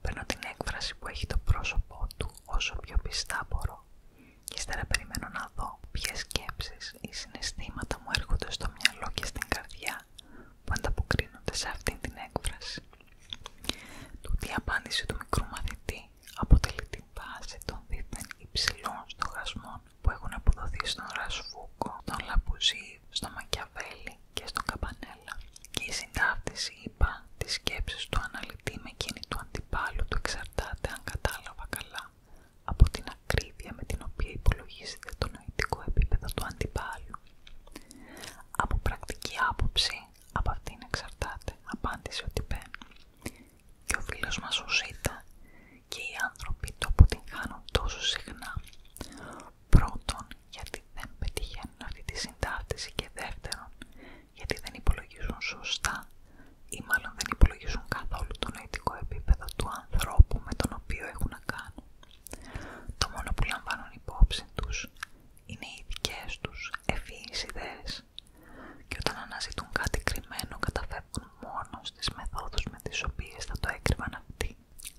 Παίρνω την έκφραση που έχει το πρόσωπό του όσο πιο πιστά μπορώ και ύστερα περιμένω να δω ποιες σκέψεις ή συναισθήματα μου έρχονται στο μυαλό και στην καρδιά που ανταποκρίνονται σε αυτήν την έκφραση. Τούτη η απάντηση του μικρού μαθητή αποτελεί την βάση των δίθεν υψηλών στοχασμών που έχουν αποδοθεί στον Ρασφούκο, στον Λαμπουζή, στον Μακιαβέλη και στον καπανέλα. Και η συντάφτιση, είπα, τη σκέψη του αναλυτή με του αντιπάλου του εξαρτάται, αν κατάλαβα καλά, από την ακρίβεια με την οποία υπολογίζεται το νοητικό επίπεδο του αντιπάλου. Από πρακτική άποψη, από αυτήν εξαρτάται, απάντησε ο Τιπέν. Και ο φίλος μας ο και οι άνθρωποι το αποτυγχάνουν τόσο συχνά. Πρώτον, γιατί δεν πετυχαίνουν αυτή τη συντάτηση και δεύτερον, γιατί δεν υπολογίζουν σωστά ή μάλλον δεν υπολογίζουν καθόλου το νοητικό επίπεδο του ανθρώπου με τον οποίο έχουν να κάνουν. Το μόνο που λαμβάνουν υπόψη τους είναι οι δικές τους ευφυείς ιδέες και όταν αναζητούν κάτι κρυμμένο καταφεύγουν μόνο στις μεθόδους με τις οποίες θα το έκρυβαν αυτοί.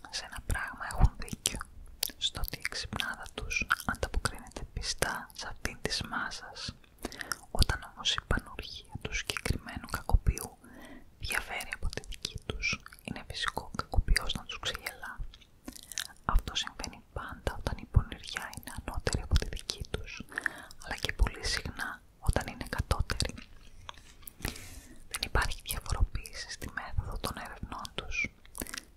Σε ένα πράγμα έχουν δίκιο, στο ότι η ξυπνάδα τους ανταποκρίνεται πιστά σε αυτήν της μάζας. Όταν όμως η πανουργία του συγκεκριμένου κακοποιού διαφέρει από τη δική τους, είναι φυσικό ο κακοποιός να τους ξεγελά. Αυτό συμβαίνει πάντα όταν η πονηριά είναι ανώτερη από τη δική αλλά και πολύ συχνά όταν είναι κατώτεροι. Δεν υπάρχει διαφοροποίηση στη μέθοδο των ερευνών τους.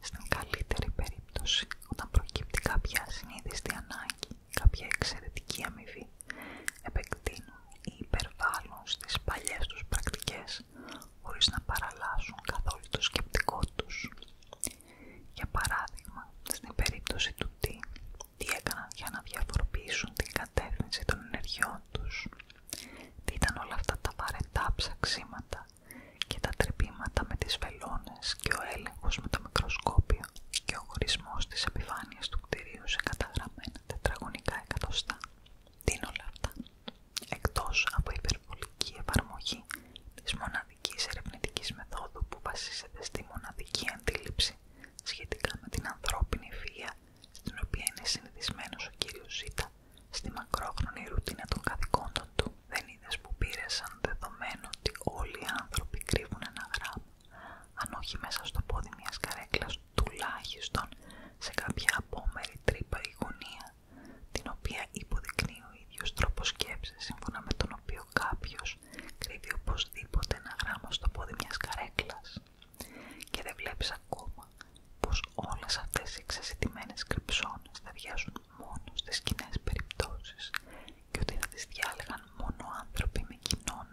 Στην καλύτερη περίπτωση, όταν προκύπτει κάποια συνείδηστη ανάγκη, κάποια εξαιρετική αμοιβή, επεκτείνουν ή υπερβάλλουν στις παλιές τους πρακτικές, χωρίς να παραλλάσσουν καθόλου το σκεπτικό τους. Για παράδειγμα, στην περίπτωση του τι τι έκαναν για να διαφοροποιήσουν την κατεύθυνση των ενεργειών τους, τι ήταν όλα αυτά τα βαρετά ψαξίματα και τα τρυπήματα με τις βελόνες και ο έλεγχος με το μικροσκόπιο και ο χωρισμός της επιφάνειας του κτηρίου σε καταγραμμένα τετραγωνικά εκατοστά. Τι είναι όλα αυτά, εκτός από υπερβολική εφαρμογή της μοναδικής ερευνητικής μεθόδου που βασίζεται στη μοναδική αντίληψη σχετικά με την ανθρώπινη βία στην οποία είναι συνηθισμένος ο κύριος Ζήτα στη μακρόχρονη ρουτίνα των καθηκόντων του. Δεν είδε που πήρε σαν δεδομένο ότι όλοι οι άνθρωποι κρύβουν ένα γράμμα, αν όχι μέσα στο πόδι μιας καρέκλας, τουλάχιστον σε κάποια απόμερη τρύπα ή γωνία, την οποία υποδεικνύει ο ίδιος τρόπος σκέψης, σύμφωνα με τον οποίο κάποιος κρύβει οπωσδήποτε ένα γράμμα στο πόδι μιας καρέκλας. Και δεν βλέπεις ακόμα πως όλες αυτές οι εξασυντημένες κρυψώνες θα μόνο στις κοινές περιπτώσεις και ότι θα τις διάλεγαν μόνο άνθρωποι με κοινό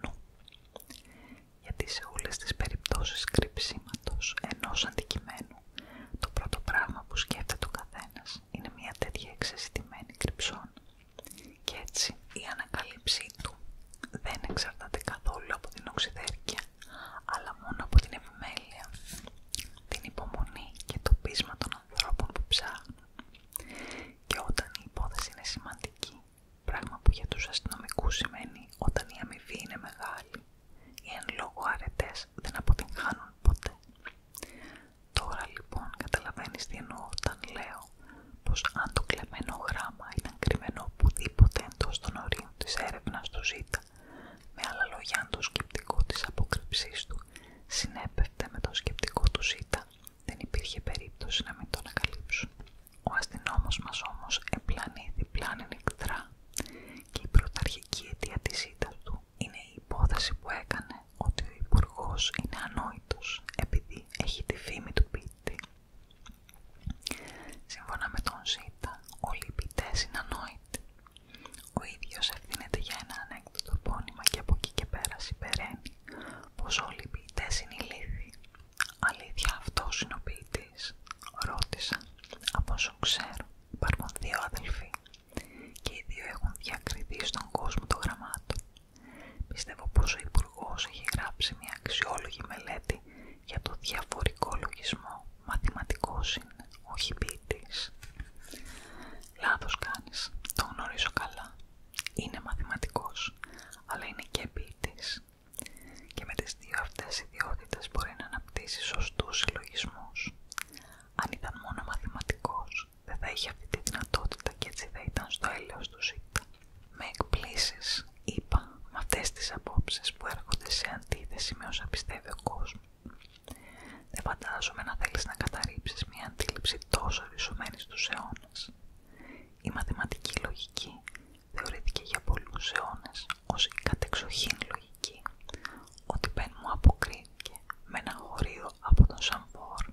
Γιατί σε όλες τις περιπτώσεις κρυψίματος ενός αντικειμένου το πρώτο πράγμα που σκέφτεται ο καθένας είναι μια τέτοια εξαισθημένη κρυψών. Και έτσι η ανακαλύψή του δεν εξαρτάται καθόλου από την οξυδέρκεια, αλλά μόνο από την επιμέλεια, την υπομονή και το πείσμα των ανθρώπων που ψάχνουν. Και όταν η υπόθεση είναι σημαντική, πράγμα που για τους αστυνομικούς σημαίνει όταν η αμοιβή είναι μεγάλη, οι εν λόγω αρετές δεν αποτυγχάνουν ποτέ. Τώρα λοιπόν καταλαβαίνεις τι εννοώ όταν λέω πως αν το κλεμμένο γράμμα ήταν κρυμμένο οπουδήποτε εντός των ορίων της έρευνας του Z, με άλλα λόγια αν το σκεπτικό της αποκρύψής του συνέπευτε με το σκεπτικό του Z, δεν υπήρχε περίπτωση να μην το ανακαλύψουν. Ο αστυνόμος μας όμως επλανήθη πλάνη νυχτρά και η πρωταρχική αιτία της του είναι η υπόθεση που έκανε ότι ο υπουργό είναι ανόητος επειδή έχει τη φήμη του ποιητή Σύμφωνα με τον Ζήτα, όλοι οι ποιητές είναι ανόητοι. Ο ίδιος ευθύνεται για ένα ανέκδοτο πόνημα και από εκεί και πέρα συμπεραίνει πως όλοι οι ποιητές είναι Αλήθεια αυτός είναι ο ποιητής, ρώτησα. Από όσο ξέρω, υπάρχουν δύο αδελφοί και οι δύο έχουν διακριθεί στον κόσμο των γραμμάτων. Πιστεύω πως ο υπουργό έχει γράψει μια αξιόλογη μελέτη για το διαφορικό λογισμό. Μαθηματικός είναι, όχι ποιητής. Λάθος κάνεις, το γνωρίζω καλά. Είναι μαθηματικός, αλλά είναι και ποιητής. Και με τις δύο αυτές ιδιότητες μπορεί να αναπτύσσει σωστούς συλλογισμούς. Αν ήταν μόνο μαθηματικός, δεν θα είχε αυτή τη δυνατότητα και έτσι θα ήταν στο έλεος του ΣΥΤΑ. Με εκπλήσεις, είπα, με αυτές τις απόψεις που έρχονται σε αντίθεση με όσα πιστεύει ο κόσμος. Δεν φαντάζομαι να θέλεις να καταρρύψεις μια αντίληψη τόσο ρισωμένη στους αιώνες. Η μαθηματική λογική θεωρήθηκε για πολλούς αιώνες ως η κατεξοχήν λογική, ότι πεν μου αποκρίθηκε με ένα χωρίο από τον Σαμπορ.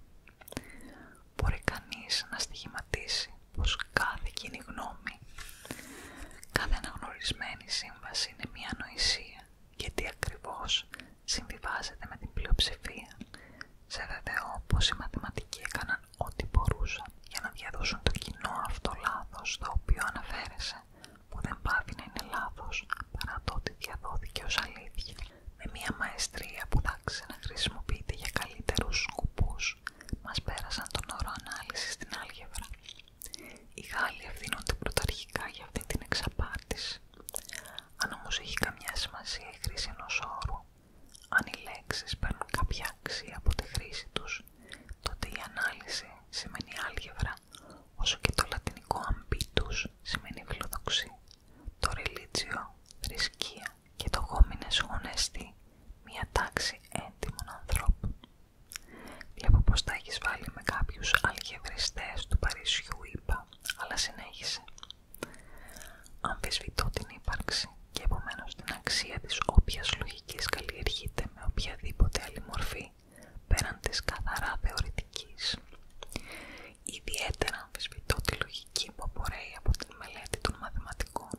Μπορεί κανείς να στοιχηματίσει πως κάθε κοινή γνώμη, κάθε αναγνωρισμένη σύμβαση είναι μια ανοησία γιατί ακριβώς συμβιβάζεται με την πλειοψηφία. Σε όπως όπω οι μαθηματικοί έκαναν ό,τι μπορούσαν για να διαδώσουν το κοινό αυτό λάθος το οποίο αναφέρεσαι, που δεν πάβει να είναι λάθος παρά το ότι διαδόθηκε ως αλήθεια. Με μια μαεστρία που να χρησιμοποιείται για καλύτερους κουπούς μας πέρασαν τον όρο ανάλυση στην άλγευρα. Οι Γάλλοι ευθύνονται πρωταρχικά για αυτή την εξαπάτηση. Αν όμως έχει καμιά σημασία η χρήση ενός όρου, αν οι λέξεις παίρνουν κάποια αξία από τη χρήση τους, τότε η ανάλυση σημαίνει άλγευρα, όσο και το λατινικό ambitus σημαίνει φιλοδοξία, το religio θρησκεία και το γόμινες γονέστη μια τάξη έντιμων ανθρώπων. Βλέπω πως τα έχεις βάλει με κάποιους αλγευριστές του Παρισιού, είπα, αλλά συνέχισε. Αμφισβητώ την ύπαρξη και επομένως την αξία της όποιας λογικής καλλιεργείται με οποιαδήποτε άλλη μορφή, πέραν της καθαρά θεωρητικής. Ιδιαίτερα αμφισβητώ τη λογική που απορρέει από τη μελέτη των μαθηματικών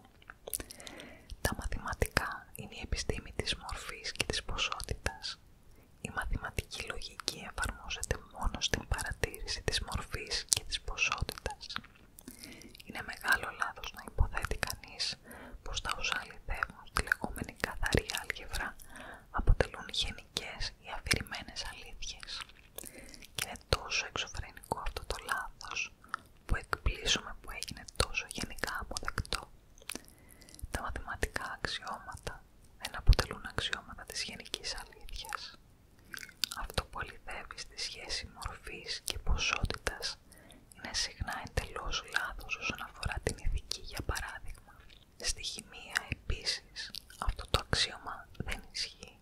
τα μαθηματικά είναι η επιστήμη της μορφής και της ποσότητας. Η μαθηματική λογική εφαρμόζεται μόνο στην παρατήρηση της μορφής και της ποσότητας. Είναι μεγάλο λάθος να υποθέτει κανείς πως τα όσα αληθεύουν στη λεγόμενη καθαρή άλγευρα αποτελούν γενικές ή αφηρημένες αλήθειες. Και είναι τόσο εξωφρενικό αυτό το λάθος που εκπλήσουμε που έγινε τόσο γενικά αποδεκτό. Τα μαθηματικά αξιώματα δεν αποτελούν αξιώματα της γενικής αλήθειας. Αυτό που αληθεύει στη σχέση μορφής και ποσότητας είναι συχνά εντελώς λάθος όσον αφορά την ηθική, για παράδειγμα. Στη χημεία επίσης αυτό το αξίωμα δεν ισχύει.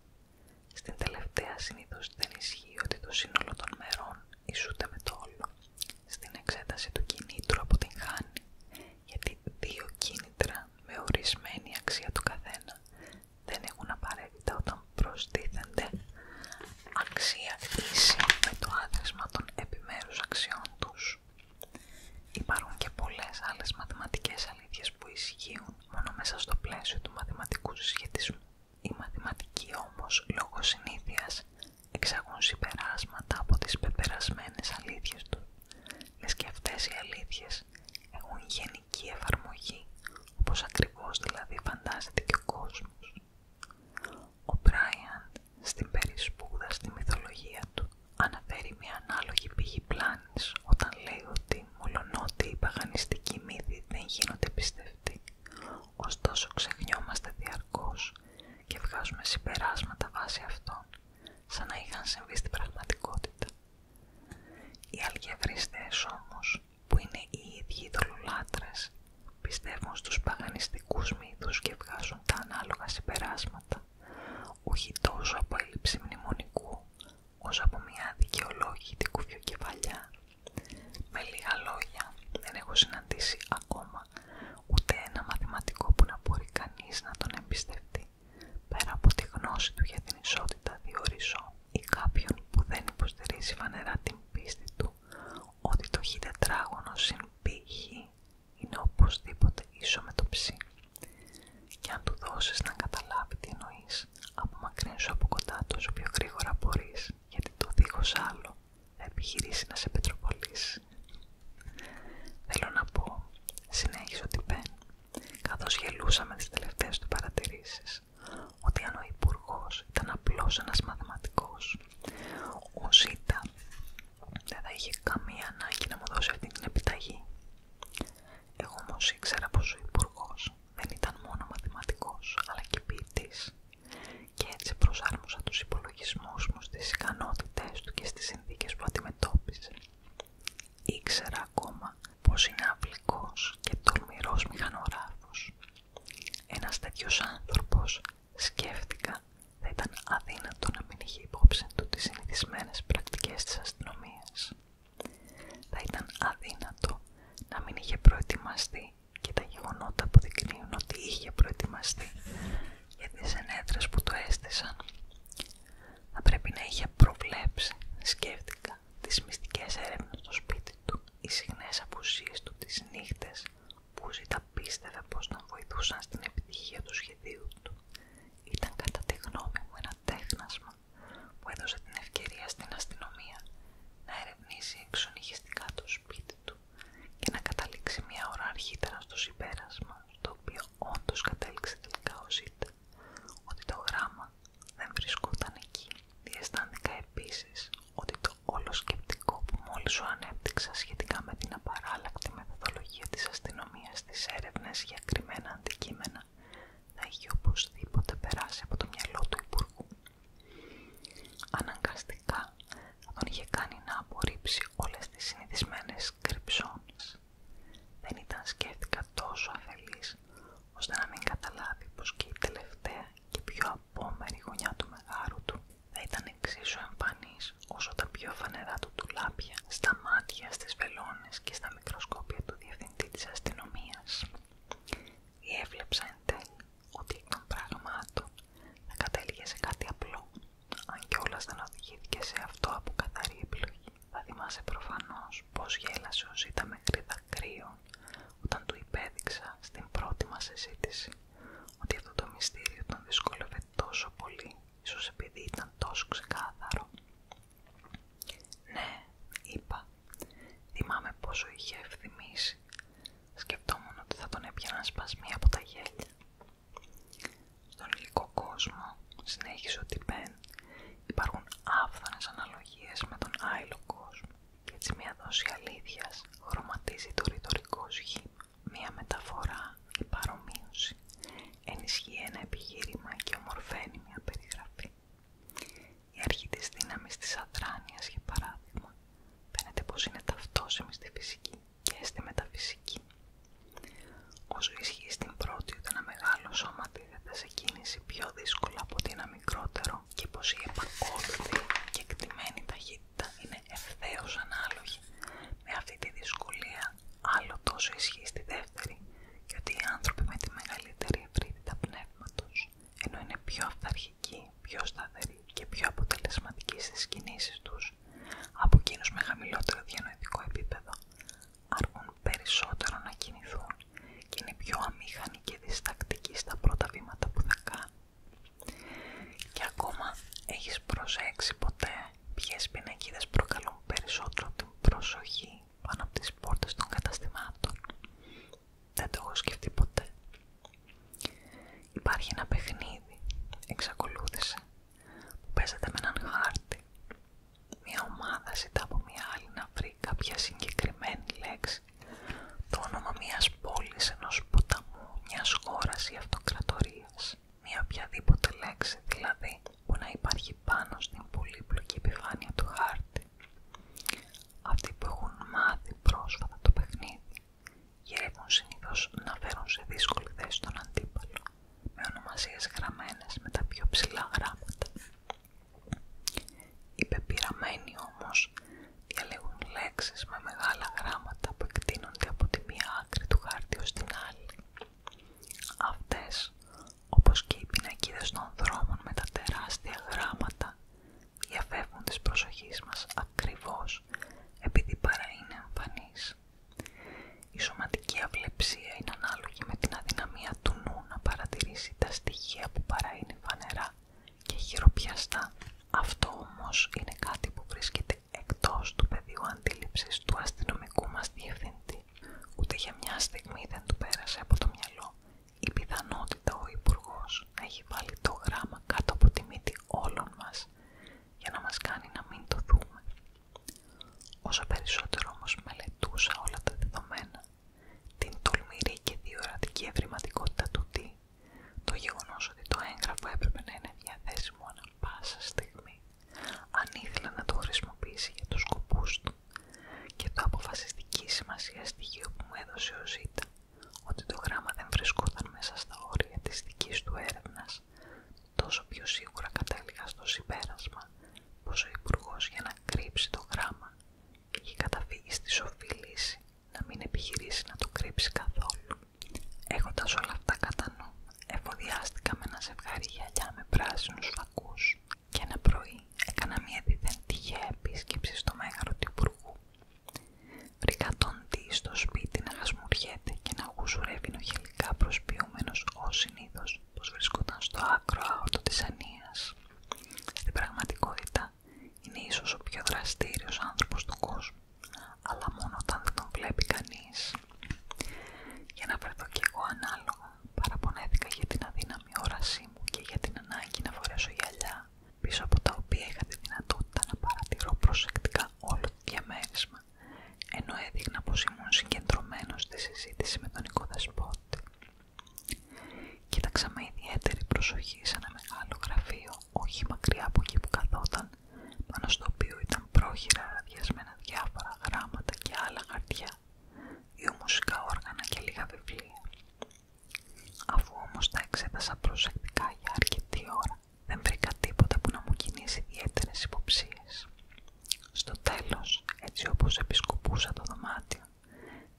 Στην τελευταία συνήθω δεν ισχύει ότι το σύνολο των μερών ισούται με το όλο. Στην εξέταση του κινήτρου αποτυγχάνει, γιατί δύο κίνητρα με ορισμένη αξία του καθένα δεν έχουν απαραίτητα όταν προστίθενται αξία ίση με το άθροισμα των επιμέρους αξιών τους. Υπάρχουν και πολλές άλλες μαθηματικές αλήθειες που ισχύουν μόνο μέσα στο πλαίσιο του μαθηματικού συσχετισμού η μαθηματικοί όμως, λόγω συνήθειας, εξαγούν συμπεράσματα από τις πεπερασμένες αλήθειες του, λες και αυτές οι αλήθειες έχουν γενική εφαρμογή, όπως ακριβώς δηλαδή φαντάζεται και ο κόσμος. Ο Μπράιαν στην περισπούδα στη μυθολογία του αναφέρει μια ανάλογη πηγή πλάνης όταν λέει ότι μολονότι οι παγανιστικοί μύθοι δεν γίνονται ωστόσο ξεχνιόμαστε διαρκώς και βγάζουμε συμπεράσματα βάσει αυτών, σαν να είχαν συμβεί στην πραγματικότητα. Οι αλγευριστές όμως, που είναι οι ίδιοι δολολάτρες, πιστεύουν στους παγανιστικούς μύθους και βγάζουν τα ανάλογα συμπεράσματα, όχι τόσο από έλλειψη μνημονικού, ως από μια δικαιολόγητη κεφάλια Με λίγα λόγια, δεν έχω συναντήσει ακόμα ούτε ένα μαθηματικό που να μπορεί κανείς να τον εμπιστευτεί, πέρα από τη γνώση του για την ισότητα διορίζω ή κάποιον που δεν υποστηρίζει φανερά την πίστη του ότι το χ τετράγωνο συν π είναι οπωσδήποτε ίσο με το ψ. Και αν του δώσεις να καταλάβει τι εννοεί, Απομακρύνσου από κοντά του όσο πιο γρήγορα μπορεί, γιατί το δίχω άλλο θα επιχειρήσει να σε πετροπολίσει. Θέλω να πω, συνέχισε ότι Πεν, καθώ γελούσαμε τι τελευταίε του παρατηρήσει, ότι αν ο υπουργό ήταν απλώ ένα μαθηματικό, ο Ζήτα δεν θα είχε καμία ανάγκη να μου δώσει αυτή την επιταγή. Εγώ όμω ήξερα πω ο υπουργό δεν ήταν μόνο μαθηματικός, αλλά και ποιητής και έτσι προσάρμοσα τους υπολογισμούς μου στις ικανότητες του και στις συνθήκες που αντιμετώπιζε. Ήξερα ακόμα πως είναι απλικός και τολμηρός μηχανογράφος. Ένας τέτοιος άνθρωπος, σκέφτηκα, θα ήταν αδύνατο να μην είχε υπόψη του τις συνηθισμένες πρακτικές της αστυνομίας. Θα ήταν αδύνατο να μην είχε προετοιμαστεί και τα γεγονότα αποδεικνύουν ότι είχε προετοιμαστεί για τις ενέδρες που το έστησαν. Θα να είχε προβλέψει, σκέφτηκα, τις μυστικές έρευνες στο σπίτι του, οι συχνές απουσίες του τις νύχτες που ζήτα πίστευε πως τον βοηθούσαν στην επιτυχία του σχεδίου του. Ήταν κατά τη γνώμη μου ένα τέχνασμα που έδωσε την ευκαιρία στην αστυνομία να ερευνήσει εξονυχιστικά το σπίτι του και να καταλήξει μια ώρα αρχίτερα στο συμπέρασμα, στο οποίο όντω κατέληξε τελικά ο ότι το γράμμα δεν βρισκόταν εκεί. Διαισθάνθηκα επίσης ότι το όλο σκεπτικό που μόλις σου ανέπτυξα σχετικά με την απαράλλακτη μεθοδολογία της αστυνομίας στις έρευνες για κρυμμένα αντικείμενα να είχε οπωσδήποτε περάσει από το μυαλό του Υπουργού Αναγκαστικά τον είχε κάνει να απορρίψει όλες τις συνηθισμένες κρυψώνες. Δεν ήταν σκέφτηκα τόσο αφελής, ώστε να μην καταλάβει πως και η τελευταία και πιο απόμερη γωνιά του μεγάρου του θα ήταν εξίσου εμφανής όσο τα πιο φανερά του τουλάπια στα μάτια, στις βελόνες και στα μικροσκόπια του διευθυντή της αστυνομίας ή έβλεψα εν τέλει ότι εκ των πραγμάτων θα κατέληγε σε κάτι απλό, αν κιόλας δεν οδηγήθηκε σε αυτό από καθαρή επιλογή. Θα θυμάσαι προφανώς πως γέλασε ο Ζήτα μέχρι κρύο, όταν του υπέδειξα στην πρώτη μας συζήτηση ότι αυτό το μυστήριο τον δυσκόλευε τόσο πολύ, ίσως επειδή ήταν τόσο ξεκάθαρο. Ναι, είπα. Θυμάμαι πόσο είχε ευθυμίσει. Σκεφτόμουν ότι θα τον έπιαναν μία από τα γέλια. Στον υλικό κόσμο, συνέχισε ο Τιμπέν, υπάρχουν άφθονες αναλογίες με τον άλοκος. κόσμο. Και έτσι μια δόση αλήθειας χρωματίζει το ρητορικό σχήμα. Μια μεταφορά, η παρομοίωση, ενισχύει ένα επιχείρημα και ομορφαίνει μια περιγραφή. Η αρχή της δύναμης της αδράνειας, για παράδειγμα, φαίνεται πως είναι ταυτόσιμη στη φυσική και στη μεταφυσική. Όσο ισχύει στην πρώτη ότι ένα μεγάλο σώμα τίθεται σε κίνηση πιο δύσκολα από ότι ένα μικρότερο και πως η επακόλουθη και εκτιμένη ταχύτητα είναι ευθέως ανάλογη με αυτή τη δυσκολία, άλλο τόσο ισχύει στη δεύτερη γιατί οι άνθρωποι με τη μεγαλύτερη ευρύτητα πνεύματος ενώ είναι πιο αυθαρχικοί, πιο σταθεροί και πιο αποτελεσματικοί στις κινήσεις τους από εκείνους με χαμηλότερο διανοητικό επίπεδο, αργούν περισσότερο να κινηθούν και είναι πιο αμήχανοι και διστακτικοί στα πρώτα βήματα που θα κάνουν. Και ακόμα έχεις προσέξει ποτέ ποιες πινακίδες προκαλούν περισσότερο την προσοχή πάνω από τις πόρτες των καταστημάτων. Δεν το έχω σκεφτεί ποτέ. Υπάρχει ένα παιχνίδι, εξακολούθησε, που παίζεται με έναν χάρτη. Μια ομάδα ζητά από μια άλλη να βρει κάποια συγκεκριμένη λέξη, το όνομα μιας πόλης, ενός ποταμού, μιας χώρας ή αυτοκρατορίας. Μια οποιαδήποτε λέξη δηλαδή που να υπάρχει πάνω στην πολύπλοκη επιφάνεια του χάρτη. Αυτοί που έχουν μάθει πρόσφατα το παιχνίδι γυρεύουν συνήθω να φέρουν σε δύσκολη θέση τον αντίπαλο με ονομασίες γραμμένες με τα πιο ψηλά γράμματα. Οι πεπειραμένοι όμως διαλέγουν λέξεις με μεγάλα γράμματα που εκτείνονται από τη μία άκρη του χάρτη ως την άλλη. Αυτές, όπως και οι πινακίδες των δρόμων με τα τεράστια γράμματα διαφεύγουν της προσοχής μας ακριβώς επειδή παρά είναι Η σωματική αυλεψία είναι ανάλογη με την αδυναμία του νου να παρατηρήσει τα στοιχεία που παρά φανερά και χειροπιαστά. Αυτό όμως είναι κάτι που βρίσκεται εκτός του πεδίου αντίληψης του αστυνομικού μας διευθυντή. Ούτε για μια στιγμή δεν του πέρασε από το μυαλό η πιθανότητα ο υπουργό να έχει βάλει το γράμμα κάτω από τη μύτη όλων μας για να μας κάνει να μην το δούμε. Όσο περισσότερο όμως μελετούσα όλα τα δεδομένα, την τολμηρή και διορατική ευρηματικότητα του τι, το γεγονός ότι το έγγραφο έπρεπε να είναι διαθέσιμο ανά πάσα στιγμή, αν ήθελα να το χρησιμοποιήσει για του σκοπούς του, και το αποφασιστική σημασία στοιχείο που μου έδωσε ο Ζήτα, ότι το γράμμα δεν βρισκόταν μέσα στα όρια της δικής του έρευνας, τόσο πιο σίγουρα κατέληγα στο συμπέρασμα πως ο υπουργό για να κρύψει το γράμμα είχε καταφύγει στη σοφή λύση να μην επιχειρήσει να το κρύψει καθόλου. Έχοντας όλα αυτά κατά νου, εφοδιάστηκα με ένα ζευγάρι με πράσινους φακούς και ένα πρωί έκανα μια επίσκεψη στο μέγαρο του Υπουργού. Βρήκα τον τι στο σπίτι να χασμουριέται και να γουζουρεύει νοχελικά προσποιούμενος ω συνήθως πως βρισκόταν στο άκρο αόρτο της Ανίας. Στην πραγματικότητα είναι ίσως ο πιο δραστήριος άνθρωπος του κόσμου, αλλά μόνο όταν δεν τον βλέπει κανείς. Για να βρεθώ κι εγώ ανάλογα, παραπονέθηκα για την αδύναμη η όρασή μου και για την ανάγκη να φορέσω γυαλιά, πίσω από τα οποία είχα τη δυνατότητα να παρατηρώ προσεκτικά όλο το διαμέρισμα, ενώ έδειχνα πως ήμουν συγκεντρωμένο στη συζήτηση με τον οικοδεσπότη. Κοίταξα με ιδιαίτερη προσοχή σε ένα μεγάλο γραφείο, όχι μακριά από εκεί που καθόταν, πάνω στο οποίο ήταν πρόχειρα αδιασμένα διάφορα γράμματα και άλλα χαρτιά, δύο μουσικά όργανα και λίγα βιβλία. Αφού όμως τα εξέτασα προσεκτικά για αρκετή ώρα, δεν βρήκα τίποτα που να μου κινήσει ιδιαίτερε υποψίες. Στο τέλος, έτσι όπως επισκοπούσα το δωμάτιο,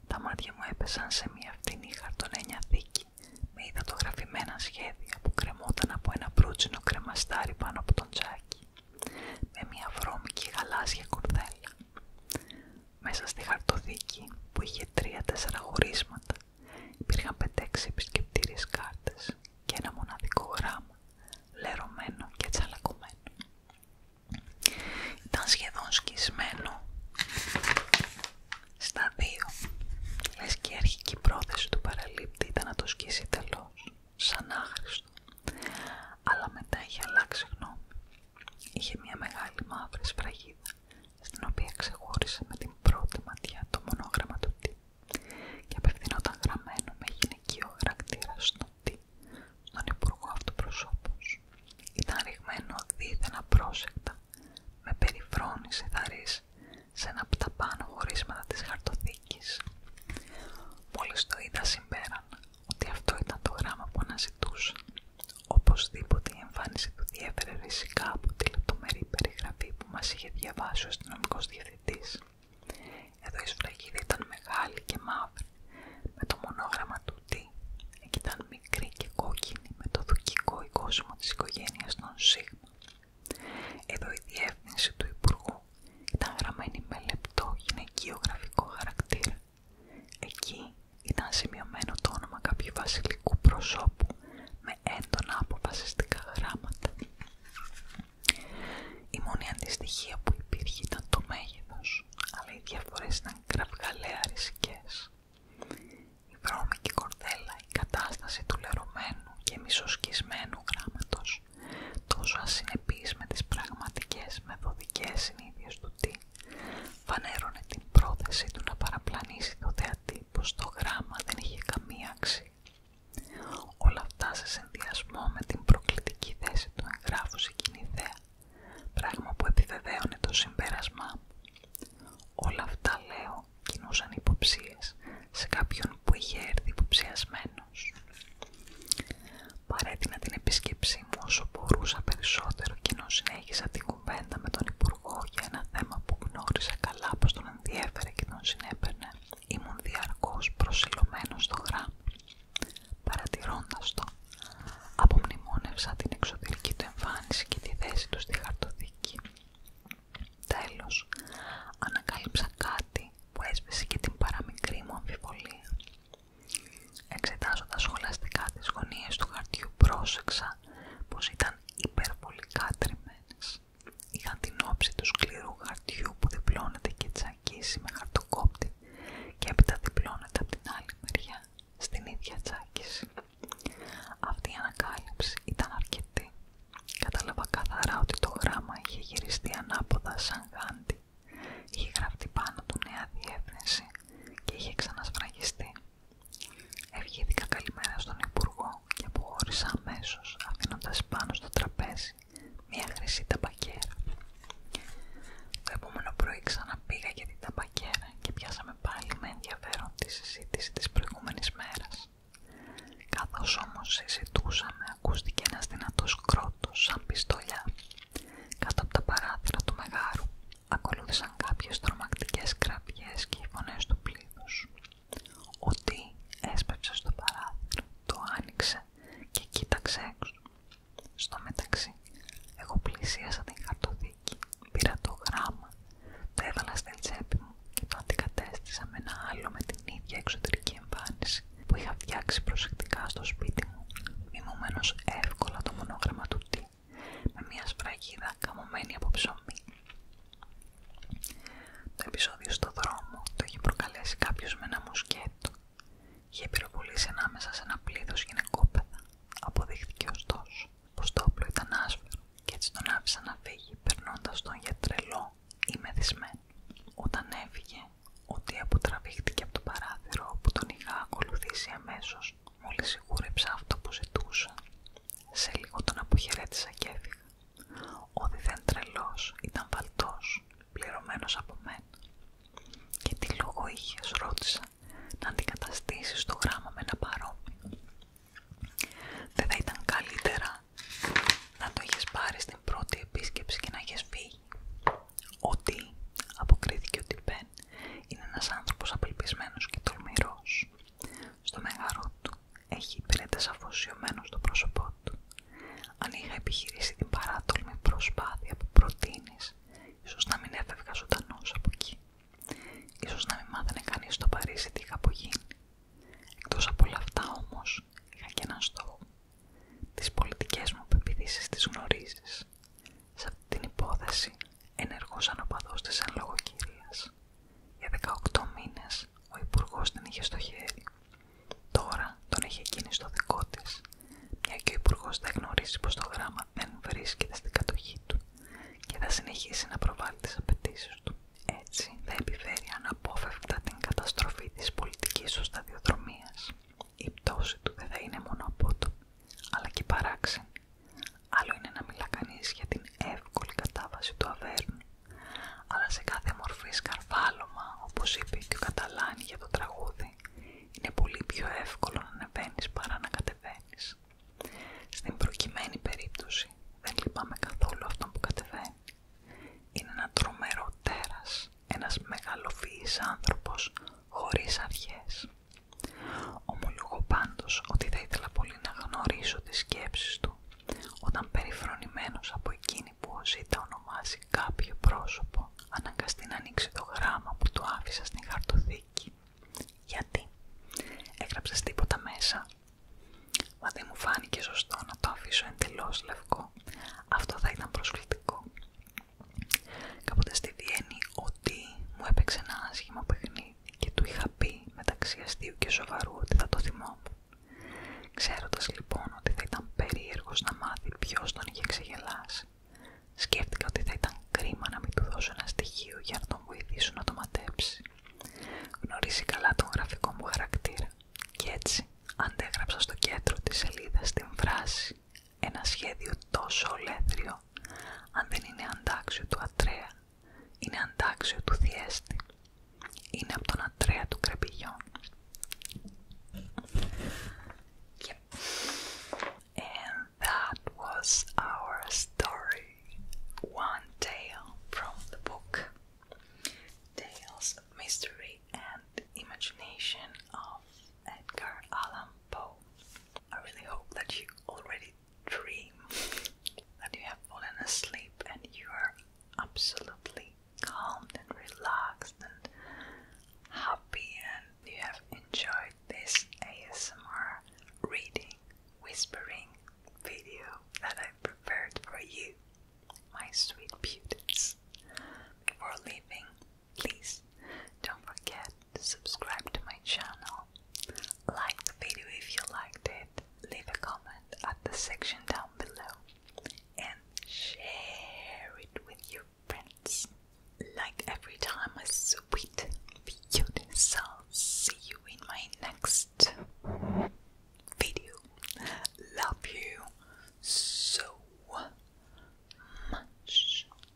τα μάτια μου έπεσαν σε μια φτηνή χαρτονένια δίκη με υδατογραφημένα σχέδια που κρεμόταν από ένα μπρούτσινο κρεμαστάρι πάνω από τον τζάκι, με μια βρώμικη γαλάζια κορδέλα. Μέσα στη χαρτοδίκη που είχε τρία-τέσσερα χωρίσματα υπήρχαν 6 επισκεπτήριες κάρτες και ένα μοναδικό γράμμα, λερωμένο και τσαλακωμένο. Ήταν σχεδόν σκισμένο στα δύο. Λες και η αρχική πρόθεση του παραλήπτη ήταν να το σκίσει τελώς, σαν άχρηστο. Αλλά μετά είχε αλλάξει γνώμη. Είχε μια μεγάλη μαύρη σφραγίδα, στην οποία ξεχώρισε με την πρώτη ματιά το μονόγραμμα του «ΤΙ» και απευθυνόταν γραμμένο με γυναικείο χαρακτήρα στο «ΤΙ» στον υπουργό αυτοπροσώπους. Ήταν ρηγμένο δίθεν απρόσεκτα, με περιφρόνηση θαρρής, σε ένα από τα πάνω χωρίσματα της χαρτοθήκης. Μόλις το είδα συμπέραν, ότι αυτό ήταν το γράμμα που αναζητούσαν. Οπωσδήποτε η εμφάνιση του διέφερε ριζικά από τη λεπτομερή περιγραφή που μας είχε διαβάσει ο αστυνομικό διευθυντής. Εδώ η σφραγίδα ήταν μεγάλη και μαύρη, με το μονόγραμμα του «ΤΙ» Εκεί ήταν μικρή και κόκκινη, με το δοκικό οικόσμο της οικογένειας των ΣΥΓΜΑ. Εδώ η διεύθυνση του Υπουργού ήταν γραμμένη με λεπτό γυναικείο γραφικό χαρακτήρα Εκεί ήταν σημειωμένο το όνομα κάποιου βασιλικού προσώπου με έντονα αποφασιστικά γράμματα. Η μόνη αντιστοιχία που υπήρχε ήταν το μέγεθος, αλλά οι διαφορές ήταν κραυγαλαία Η βρώμικη κορδέλα, η κατάσταση του λερωμένου και μισοσκισμένου γράμματος, τόσο ασυνεπής με τις πραγματικές μεθοδικές συνήθειες του φανέρωνε την πρόθεση του να παραπλανήσει το θεατή πως το γράμμα δεν είχε καμία αξία. Όλα αυτά σε συνδυασμό με την προκλητική θέση του εγγράφου σε κοινή θέα, πράγμα που επιβεβαίωνε το συμπέρασμά Όλα αυτά, λέω, κινούσαν υποψίες σε κάποιον που είχε έρθει υποψιασμένος παρέτεινα την επισκέψή μου όσο μπορούσα περισσότερο και ενώ συνέχισα την με τον Υπουργό για ένα θέμα που γνώρισα καλά πως τον ενδιέφερε και τον συνέβαινε. ήμουν διαρκώς προσιλωμένος στο γράμμα. Παρατηρώντας το, απομνημόνευσα την εξωτερική του εμφάνιση και τη θέση του στη χαρτοδίκη. Τέλος, ανακάλυψα κάτι που έσβησε και την παραμικρή μου αμφιβολία. Εξετάζοντας σχολαστικά τις γωνίες του χαρτιού πρόσεξα πως ήταν υπερβολικά τριμμένες. Είχαν την όψη του σκληρού χαρτιού που διπλώνεται και τσακίσει με χαρτοκόπτη και έπειτα διπλώνεται από την άλλη μεριά στην ίδια τσάκιση. Αυτή η ανακάλυψη ήταν αρκετή. Κατάλαβα καθαρά ότι το γράμμα είχε γυριστεί ανάποδα σαν γάντι. Είχε γραφτεί πάνω του νέα διεύθυνση και είχε ξανασφραγιστεί. Ευχήθηκα καλημέρα στον Υπουργό και αποχώρησα αμέσω, αφήνοντα πάνω στο τραπέζι μια χρυσή ταμπακέρα. Το επόμενο πρωί ξαναπήγα για την ταμπακέρα και πιάσαμε πάλι με ενδιαφέρον τη συζήτηση τη προηγούμενη μέρα. Καθώ όμω συζητούσαμε, ακούστηκε ένα δυνατό κρότο σαν πιστολιά κάτω από τα παράθυρα του μεγάρου ακολούθησαν κάποιες τρομακτικές κραυγές και οι φωνές του πλήθους. Οτι Τι έσπευσε στο παράθυρο, το άνοιξε και κοίταξε έξω. Στο μεταξύ, εγώ πλησίασα την χαρτοδίκη, πήρα το γράμμα, το έβαλα στην τσέπη μου και το αντικατέστησα με ένα άλλο με την ίδια εξωτερική εμφάνιση που είχα φτιάξει προσεκτικά στο σπίτι μου, μιμωμένος εύκολα το μονόγραμμα του με μια σφραγίδα καμωμένη από ψωμί. Το επεισόδιο στο δρόμο το είχε προκαλέσει κάποιο με ένα μουσκέτο. Είχε πυροβολήσει ανάμεσα σε ένα πλήθο γυναικόπαιδα. Αποδείχθηκε ωστόσο πω το όπλο ήταν άσφερο και έτσι τον άφησαν να φύγει περνώντα τον για τρελό ή μεθυσμένο. Όταν έφυγε, ότι αποτραβήχτηκε από το παράθυρο που τον είχα ακολουθήσει αμέσω Μόλις σιγούρεψα αυτό που ζητούσα, σε λίγο τον αποχαιρέτησα κι έφυγα. Ο διδέν τρελός ήταν βαλτός, πληρωμένος από μένα. Και τι λόγο είχες, ρώτησα, να αντικαταστήσεις το γράμμα με ένα παρόμοιο. Δεν θα ήταν καλύτερα να το είχες πάρει στην πρώτη επίσκεψη και να είχες φύγει. Ότι αποκρίθηκε ότι Μπεν είναι ένας άνθρωπος απελπισμένος και τολμηρός. Στο μεγαρό του έχει υπηρέτες αφοσιωμένος στο πρόσωπό του. Αν είχα επιχειρήσει την παράτολμη προσπάθεια που προτείνεις, ίσως να μην έφευγα ζωντανός από εκεί. Ίσως να μην μάθαινε κανείς στο Παρίσι τι είχα γίνει. Εκτός από όλα αυτά όμως, είχα και έναν στόχο. Τις πολιτικές μου πεπιθήσεις τις γνωρίζεις. Σε αυτή την υπόθεση ενεργός αναπαδός της αν Για 18 μήνες ο υπουργός την είχε στο χέρι. Τώρα τον είχε εκείνη στο δικό της, μια και ο υπουργός δεν γνωρίζει πως το γράμμα δεν βρίσκεται στην κατοχή του και θα συνεχίσει να προβάλλει τις απαιτήσεις του. Έτσι θα επιφέρει αναπόφευκτα την καταστροφή της πολιτικής του σταδιοδρομίας η πτώση του δεν θα είναι μόνο απότομη, αλλά και παράξενη. Άλλο είναι να μιλά κανείς για την εύκολη κατάβαση του αβέρνου, αλλά σε κάθε μορφή σκαρβάλωμα, όπως είπε και ο Καταλάνη για το τραγούδι, είναι πολύ πιο εύκολο να ανεβαίνεις παρά να κατεβαίνεις. Στην προκειμένη περίπτωση δεν λυπάμαι καθόλου αυτό που κατεβαίνει. Είναι ένα τρομερό τέρας, ένας μεγαλοφυής άνθρωπος χωρίς αρχές. Ομολογώ πάντως ότι θα ήθελα πολύ να γνωρίσω τις σκέψεις του όταν περιφρονημένος από εκείνη που ο Ζήτα ονομάζει κάποιο πρόσωπο αναγκαστεί να ανοίξει το γράμμα που του άφησα στην χαρτοθήκη. Γιατί? Έγραψες τίποτα μέσα? Μα δεν μου φάνηκε σωστό να το αφήσω εντελώς λευκό. Αυτό θα ήταν προσκλητικό κάποτε στη Βιέννη ότι μου έπαιξε ένα άσχημο παιχνίδι και του είχα πει μεταξύ αστείου και σοβαρού ότι θα το θυμόμουν. Ξέροντας λοιπόν ότι θα ήταν περίεργος να μάθει ποιος τον είχε ξεγελάσει, σκέφτηκα ότι θα ήταν κρίμα να μην του δώσω ένα στοιχείο για να τον βοηθήσω να το ματέψει. Γνωρίζει καλά τον γραφικό μου χαρακτήρα και έτσι αντέγραψα στο κέντρο της σελίδας την φράση ένα σχέδιο τόσο ολέθριο, αν δεν είναι αντάξιο του Ατρέα, είναι αντάξιο του θιέστη, Είναι από τον Ατρέα του Κρεπηγιών. Και And ήταν was our story. One tale from the book. Tales of Mystery and Imagination of Edgar Allan Poe. I really hope that you already dream that you have fallen asleep and you are absolutely calm and relaxed and happy and you have enjoyed this ASMR reading, whispering video that I prepared for you, my sweet beauties. Before leaving, Please don't forget to subscribe to my channel. Like the video if you liked it. Leave a comment at the section down below and share it with your friends. Like every time, my sweet, beautiful see you in my next video. Love you so much.